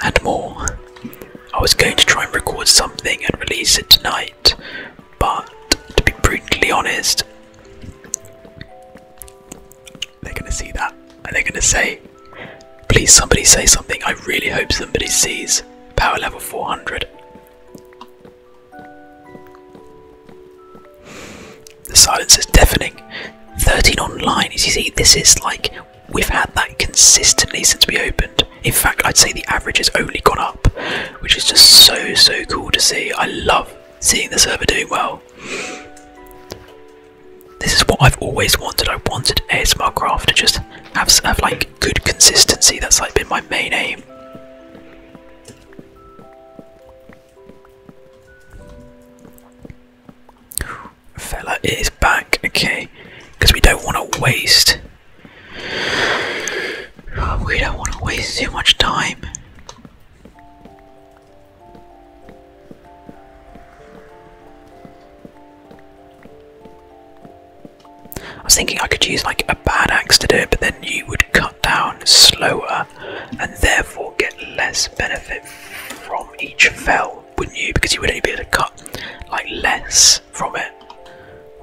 and more. I was going to try and record something and release it tonight, but to be brutally honest, they're gonna see that and they're gonna say, please somebody say something. I really hope somebody sees power level 400. The silence is deafening. 13 online, as you see, this is like we've had that consistently since we opened. In fact, I'd say the average has only gone up, which is just so, so cool to see. I love seeing the server doing well. This is what I've always wanted. I wanted ASMR craft to just have, have like good consistency. That's like been my main aim. Fella is back, okay, because we don't want to waste. We don't want to waste too much time. I was thinking I could use like a bad axe to do it, but then you would cut down slower and therefore get less benefit from each fell, wouldn't you? Because you would only be able to cut like less from it.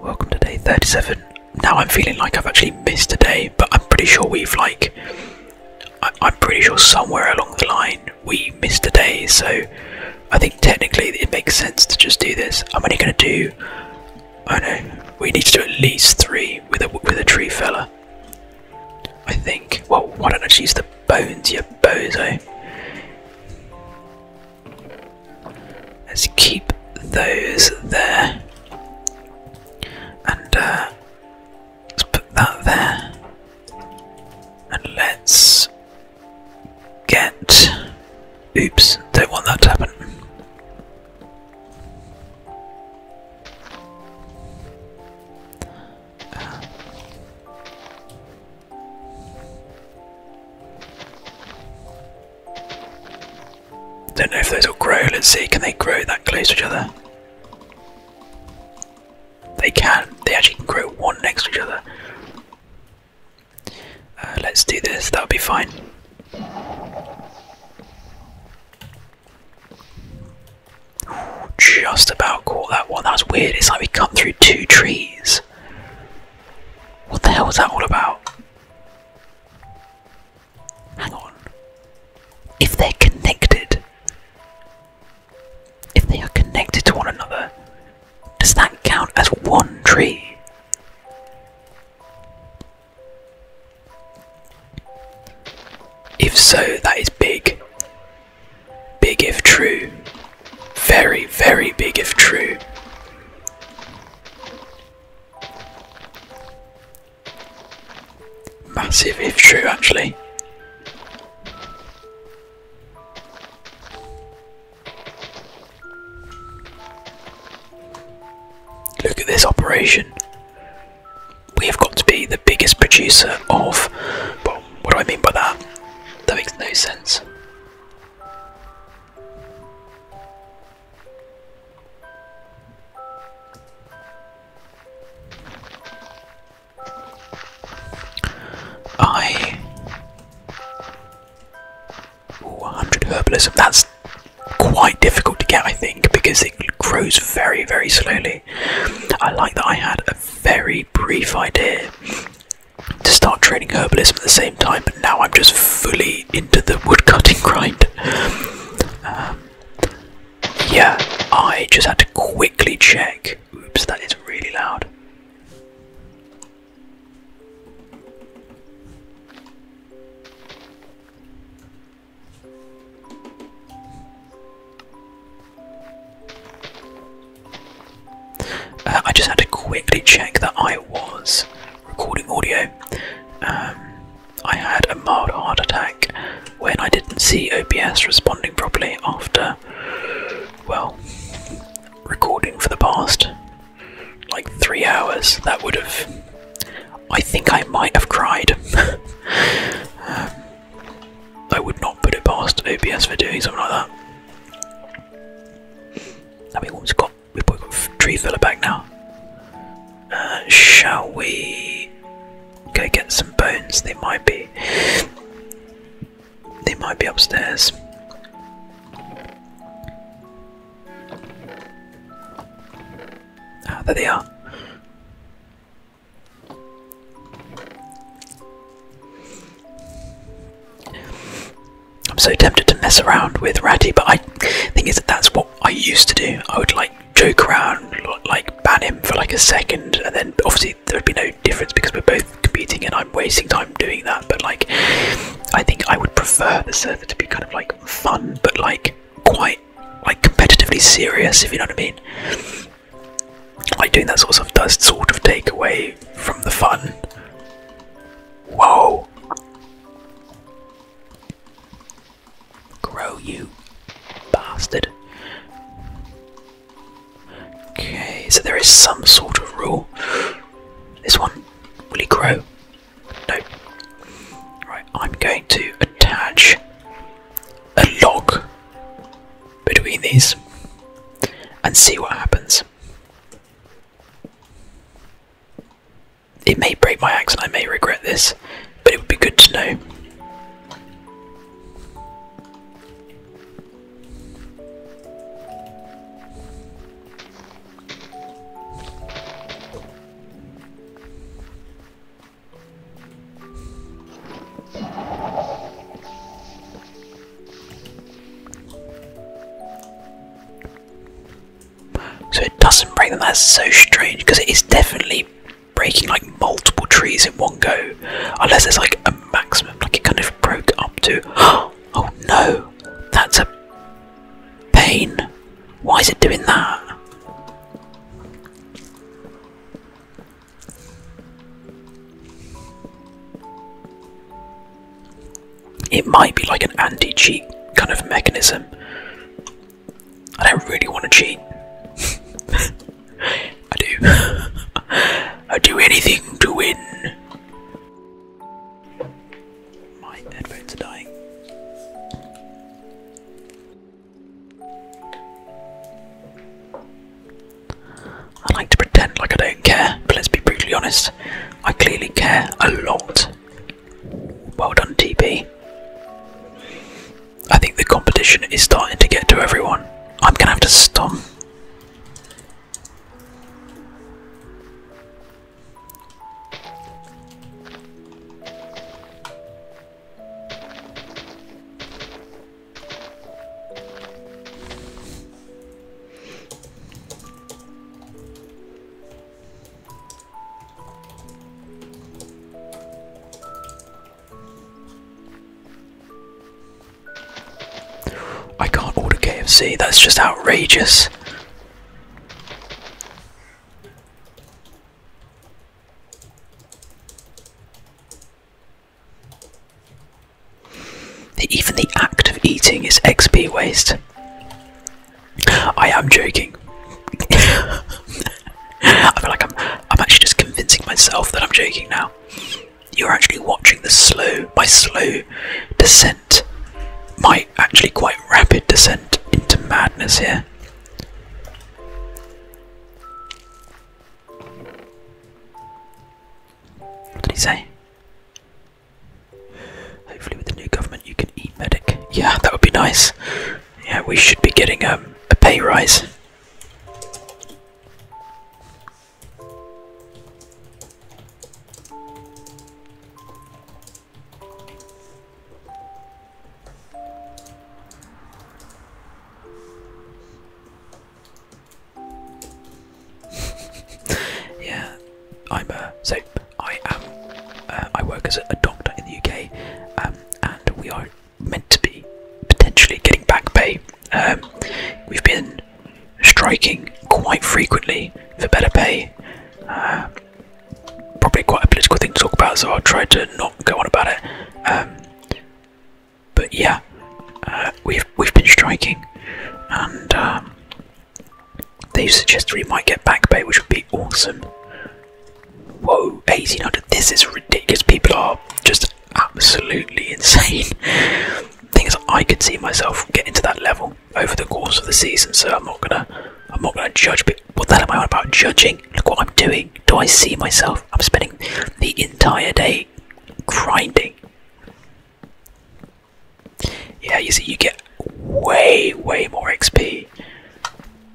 Welcome to day 37. Now I'm feeling like I've actually missed a day, but I'm pretty sure we've like I am pretty sure somewhere along the line we missed a day, so I think technically it makes sense to just do this. I'm only going to do. I do we need to do at least three with a with a tree feller. I think. Well, why don't I just use the bones, you bozo? Let's keep those there. And uh, Let's put that there. And let's get. Oops, don't want that to happen. Don't know if those will grow. Let's see, can they grow that close to each other? They can. They actually can grow one next to each other. Uh, let's do this. That'll be fine. just about caught that one. That was weird. It's like we cut through two trees. What the hell was that all about? Hang on. If they're connected, if they are connected to one another, does that count as one tree? If so, that is big. Big if true. Very, very big if true. Massive if true, actually. Look at this operation. We have got to be the biggest producer of. Well, what do I mean by that? That makes no sense. I. 100 herbalism. That's quite difficult to get, I think, because it grows very, very slowly. I like that I had a very brief idea to start training herbalism at the same time, but now I'm just fully into the woodcutting [laughs] grind. Um, yeah, I just had to quickly check. Oops, that is really loud. Uh, I just had to quickly check that I was recording audio. Um, I had a mild heart attack when I didn't see OBS responding properly after, well, recording for the past like three hours, that would have. I think I might have cried. [laughs] Um, I would not put it past OBS for doing something like that. I mean, we've got we've got tree filler back now. Uh, shall we? Go get some bones. They might be. They might be upstairs. Ah, there they are. I'm so tempted to mess around with Ratty, but I think is that that's what I used to do. I would like joke around, like ban him for like a second, and then obviously there would be no difference because we're both competing and I'm wasting time doing that. But like, I think I would prefer the server to be kind of like fun, but like quite like competitively serious, if you know what I mean. Like doing that sort of stuff does sort of take away from the fun. Whoa. Grow you bastard. Okay, so there is some sort of rule. This one, will he grow? No. Right, I'm going to attach a log between these and see what happens. It may break my axe and I may regret this, but it would be good to know. So it doesn't break them, that's so strange because it is definitely breaking like multiple trees in one go, unless there's like a maximum. Like it kind of broke up to. [gasps] Oh no, that's a pain. Why is it doing that? It might be like an anti cheat kind of mechanism. I don't really want to cheat. [laughs] I do. [laughs] I do anything to win. My headphones are dying. I like to pretend like I don't care, but let's be brutally honest. I clearly care a lot. Well done, TB. I think the competition is starting to get to everyone. I'm gonna have to stop. I can't order KFC, that's just outrageous. Even the act of eating is XP waste. I am joking. [laughs] I feel like I'm I'm actually just convincing myself that I'm joking now you're actually watching the slow by slow descent, my actually quite rapid descent into madness here. What do you say? Hopefully, with the new government, you can eat medic. Yeah, that would be nice. Yeah, we should be getting um, a pay rise. [laughs] yeah, I'm so I am. Uh, I work as a, doctor in the UK, um, and we are meant to be potentially getting back pay. Um, we've been striking quite frequently for better pay. Uh, probably quite a political thing to talk about, so I'll try to not go on about it. Um, but yeah, uh, we've we've been striking, and um, they suggest suggested we might get back pay, which would be awesome. Whoa, 1800! This is ridiculous. People are just absolutely insane. Thing is, I could see myself getting to that level over the course of the season, so I'm not gonna, I'm not gonna judge. But what the hell am I on about judging? Look what I'm doing. Do I see myself? I'm spending the entire day grinding. Yeah, you see, you get way, way more XP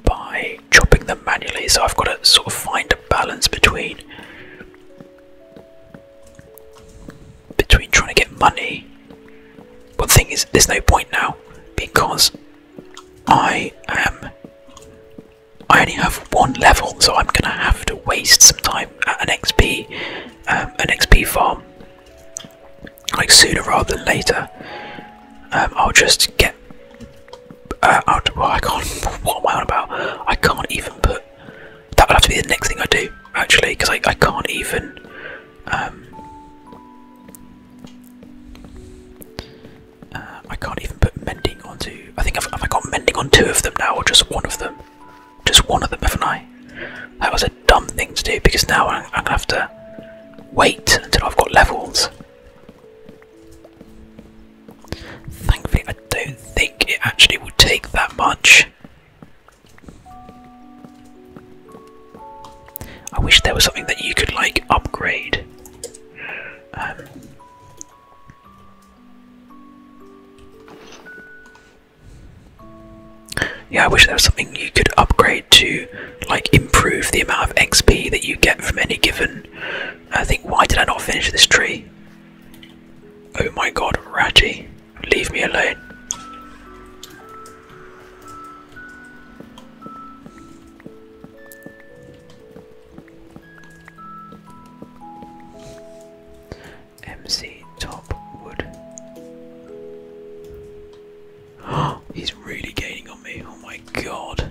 by chopping them manually. So I've got to sort of find a balance between between trying to get money. But the thing is, there's no point now because I am. I only have one level, so I'm gonna have to waste some time at an XP, um, an XP farm. Like sooner rather than later, um, I'll just get. Uh, I'll, well, I can't. [laughs] What am I on about? I can't even put that would have to be the next thing I do, actually, because I, I can't even. Um, uh, I can't even put mending onto. I think I've, have got mending on two of them now, or just one of them? Just one of them, haven't I? That was a dumb thing to do because now I'm, I'm gonna have to wait until I've got levels. Thankfully, I don't think it actually will take that much. I wish there was something that you could like upgrade. Um, yeah, I wish there was something you could upgrade to like improve the amount of XP that you get from any given. I think why did I not finish this tree? Oh my god, Ratty, leave me alone. MC Top Wood. [gasps] he's really gaining on me. Oh my god.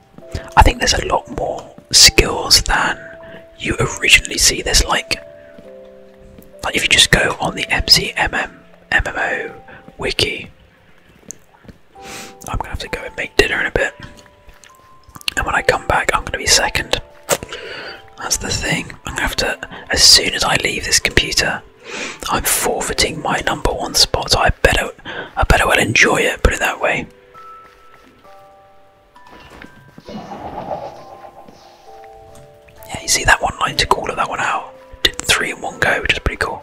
I think there's a lot more skills than you originally see. There's like, like if you just go on the MCMM MMO wiki, I'm gonna have to go and make dinner in a bit, and when I come back, I'm gonna be second. That's the thing. I'm gonna have to, as soon as I leave this computer, I'm forfeiting my number one spot. I better, I better well enjoy it. Put it that way. Yeah, you see that one line to call of that one out. Did three in one go, which is pretty cool.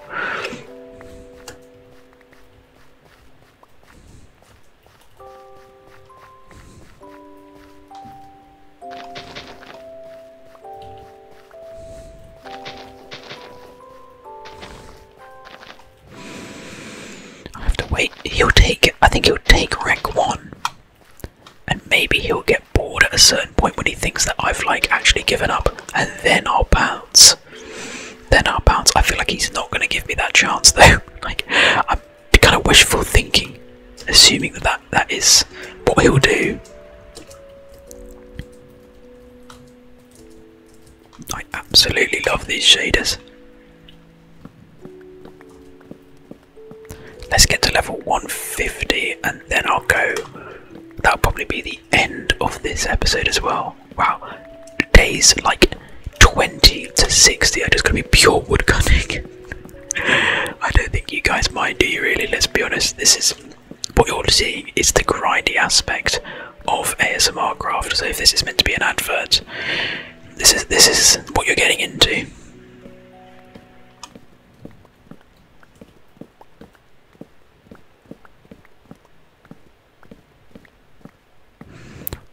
I have to wait. He'll take. I think he'll take rank one, and maybe he'll get bored at a certain point when he thinks that I've like actually given up, and then I'll bounce. Then I'll bounce. I feel like he's not going to give me that chance [laughs] though. like I'm kind of wishful thinking, assuming that that, that is what he'll do. I absolutely love these shaders. Let's get to level 150 and then I'll go. That'll probably be the end of this episode as well. Wow, days like 20 to 60 are just going to be pure woodcutting. [laughs] I don't think you guys mind, do you really? Let's be honest, this is what you're seeing is the grindy aspect of ASMR craft. So if this is meant to be an advert, this is this is what you're getting into.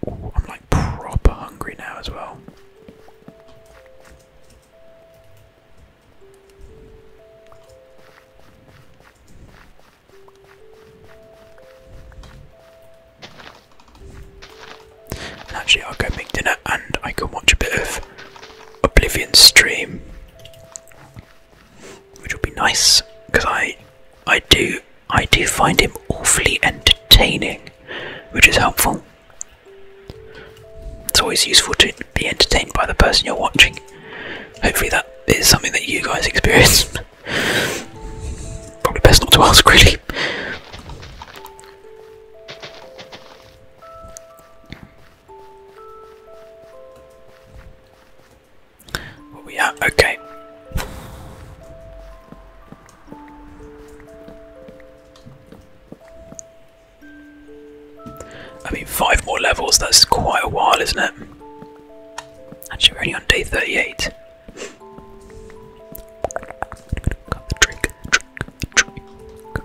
I'm like proper hungry now as well. And actually, I'll go make dinner and I can watch a bit of Oblivion stream, which will be nice because I, I do, I do find him awfully entertaining, which is helpful. It's always useful to be entertained by the person you're watching. Hopefully, that is something that you guys [laughs] experience. Probably best not to ask, really. What we at? Okay. I mean, five more levels, that's quite a while, isn't it? Actually, we're only on day 38. Got the Drink got the tree, got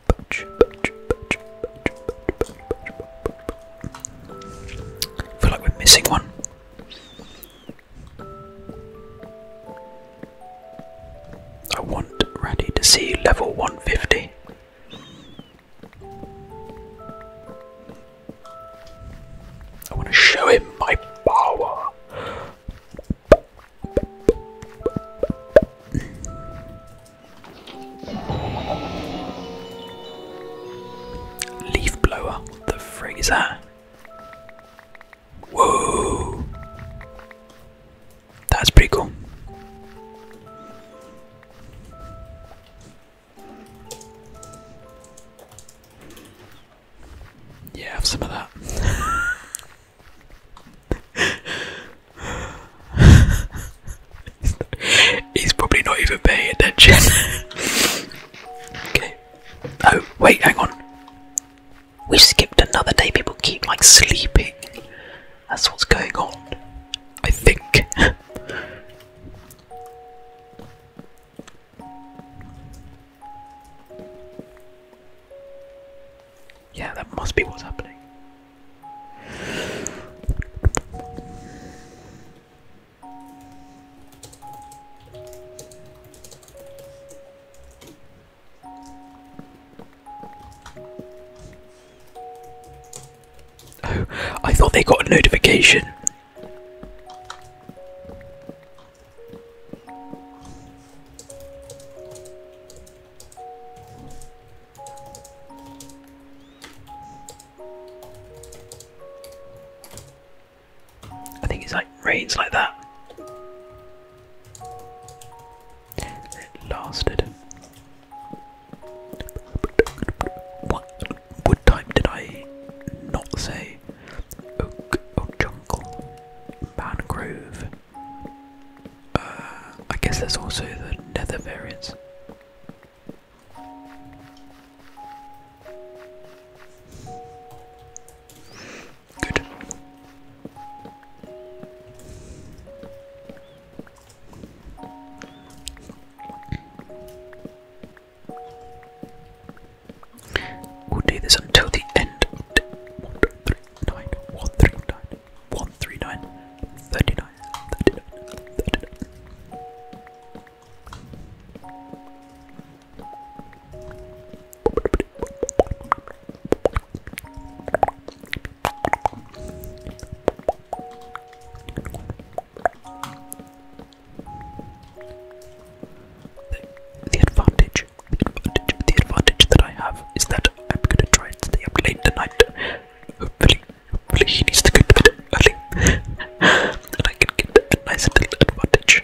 I feel like we're missing one. I want Randy to see level 150. I want to show him my power. Leaf blower, the frig Whoa! That's pretty cool. Yeah, have some of that. [laughs] he's, probably not even paying attention. okay. Oh, wait, hang on. We skipped another day. People keep like sleeping. That's what's going on. I think. Yeah, that must be what's happening. Oh, I thought they got a notification. I think it's like rains like that. lasted. What what time did I not say? Oak, oak jungle, mangrove, uh, I guess there's also the nether variants. Good. We'll do this until the end of 1, 139, 39, 39, 39. The, advantage, the advantage, the advantage that I have is that I'm gonna try and stay up late tonight Hopefully, hopefully he needs to go to bed early, I can get a nice little advantage.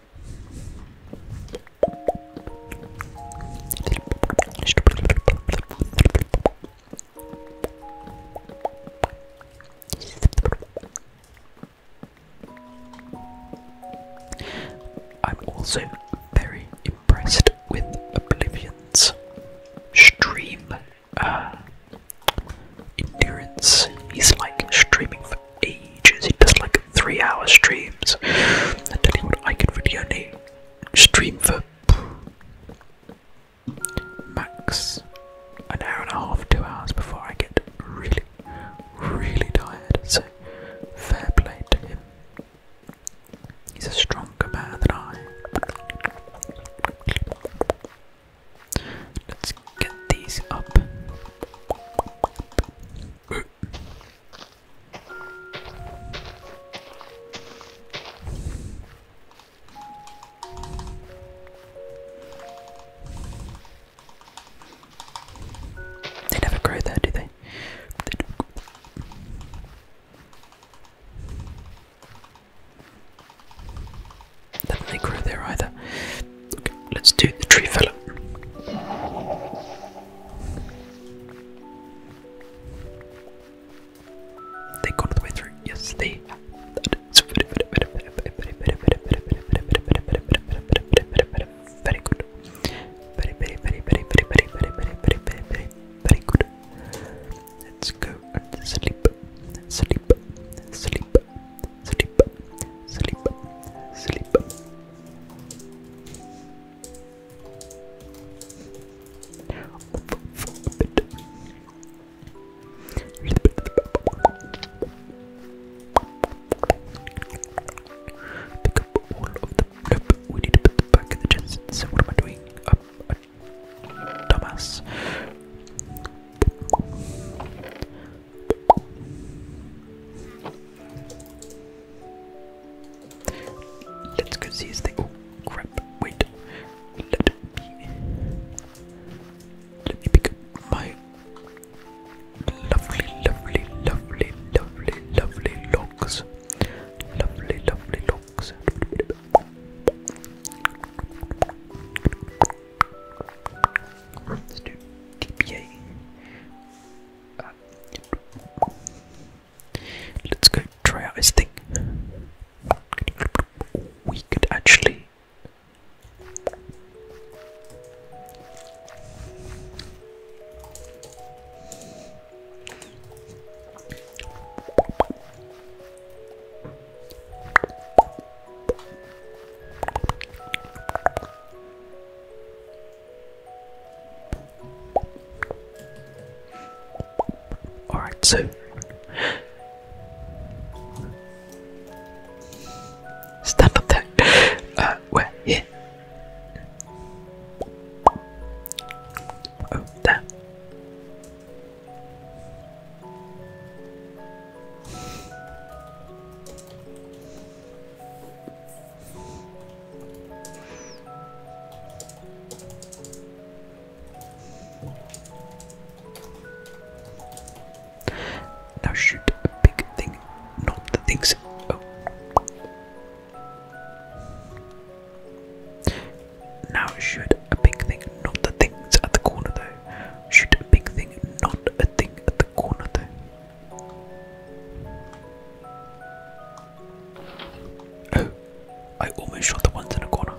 I'm also very impressed with Oblivion's stream uh, endurance. He's like streaming ages. He does like three hour streams. I tell you I could really only stream for max an hour and a half, two hours before I get really, really tired. So, fair play to him. He's a stronger man than I. Let's get these up. They never grow there, do they? they don't. Doesn't there either? Okay, let's do the tree fella. They got all the way Yes, they. Very good. Very, very, very, very, very, very, very, very, very, very, very, very good. Let's go and sleep. Sleep. Sleep. Sleep. Sleep. Sleep. Sleep we need to put back in the chest. So what am I doing? dumbass. Let's go see his thing. Oh crap, wait. Let me, let me pick up my lovely, lovely, lovely, lovely, lovely logs. Lovely, lovely logs. Let's do DPA. Let's go try out this thing. We could actually. Alright, so stand up there. Uh, where? Here. Oh, there. Now shoot a big thing, not the things. Oh. Now shoot a big thing, not the things at the corner though. Shoot a big thing, not a thing at the corner though. Oh, I almost shot the ones in the corner.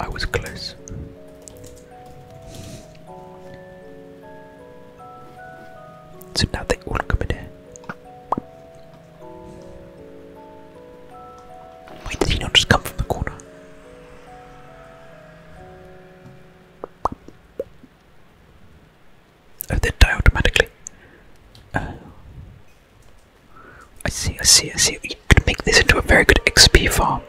I was close. So now they all come in here. Why did he not just come from the corner? Oh, they die automatically. I see, I see, I see. You could make this into a very good XP farm.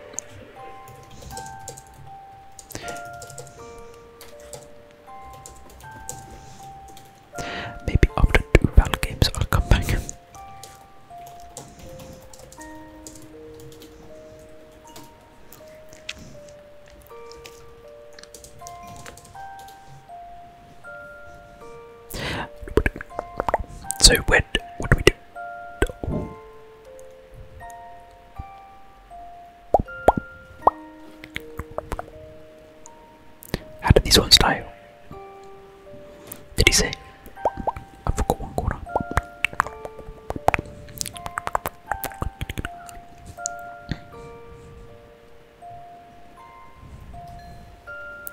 Maybe after two Val games I'll come back. So when what do we do? How this one style. Did he say?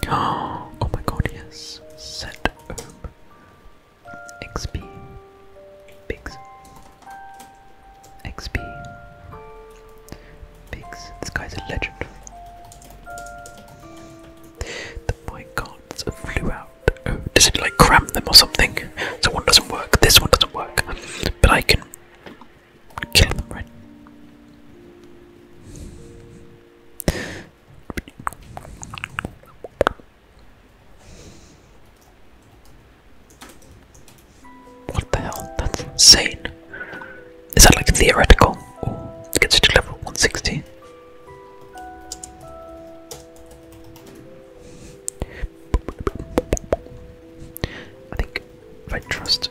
[gasps] Oh, my god, yes. Set XP. Pigs. XP. Pigs. This guy's a legend. The minecarts flew out. Oh, does it like cram them or something? So one doesn't work, this one doesn't work. But I can kill them, right? What the hell? That's insane. Is that like theoretical? Or gets to level 160? I think if I trust.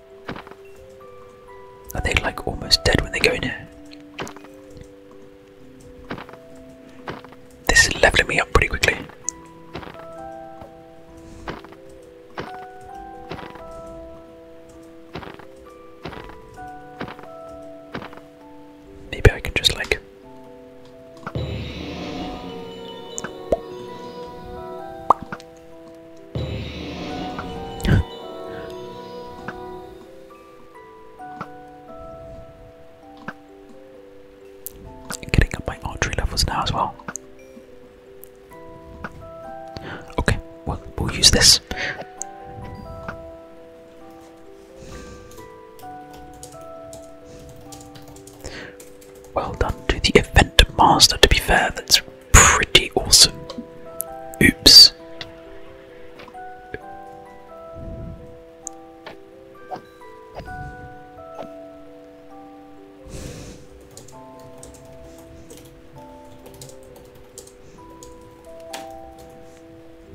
Are they like almost dead when they go in here? This is leveling me up pretty quickly. Maybe I can just like. Getting up my archery levels now as well. Okay, well, we'll use this. Well done to the event master, to be fair, that's pretty awesome. Oops.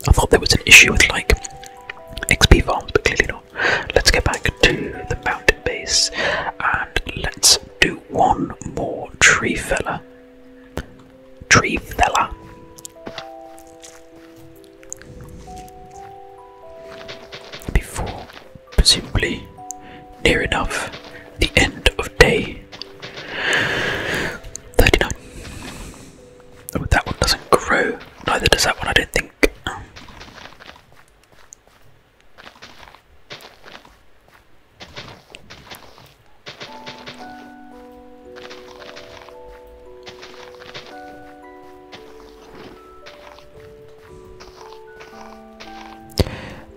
I thought there was an issue with like XP farms, but clearly not. Let's get back to the mountain base and let's do one more tree fella tree fella. Before, presumably, near enough the end of day 39. Oh, that one doesn't grow, neither does that one, I don't think.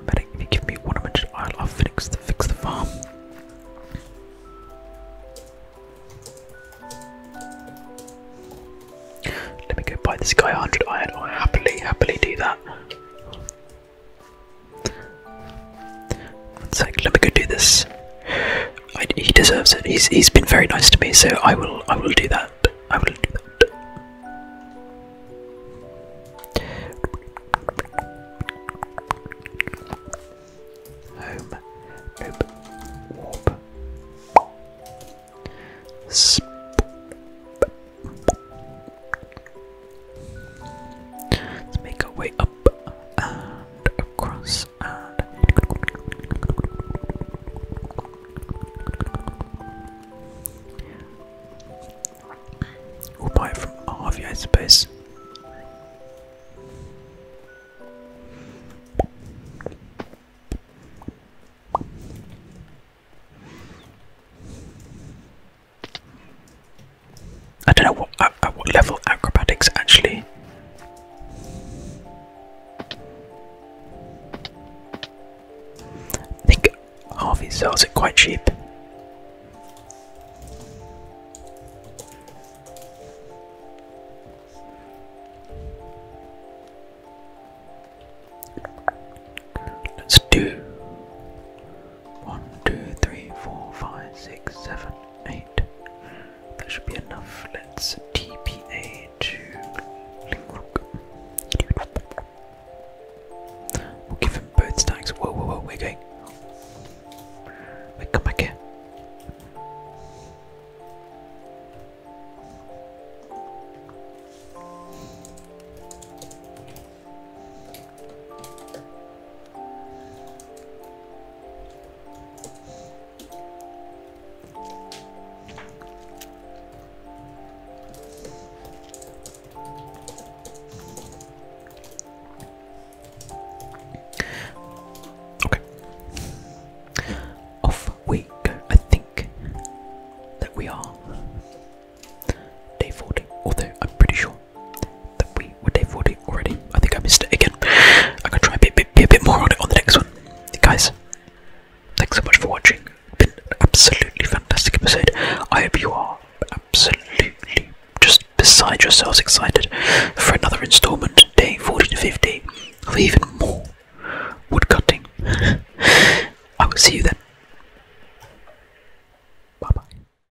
Medic, if you give me one hundred iron, I'll fix the fix the farm. Let me go buy this guy a 100 iron. I'll happily, happily do that let me go do this. he deserves it. he's been very nice to me, so I will I will do that. I will do that. Home, warp, Sp Let's make our way up across we'll buy it from Harvey, I suppose. I don't know what at, what level acrobatics actually. I think Harvey sells it quite cheap. Let's do one, two, three, four, five, six, seven, eight. That should be enough. Let's TPA 2 We'll give him both stacks. Whoa, whoa, whoa, we're going. Wait, come back here. Okay. Off we go. I think that we are day 40, although I'm pretty sure that we were day 40 already. I think I missed it again. I can try and be, be, be a bit more on it on the next one. Guys, thanks so much for watching. been absolutely fantastic episode. I hope you are absolutely just beside yourselves excited for another installment, day 40 to 50, of even more woodcutting. [laughs] I will see you then. Bye bye.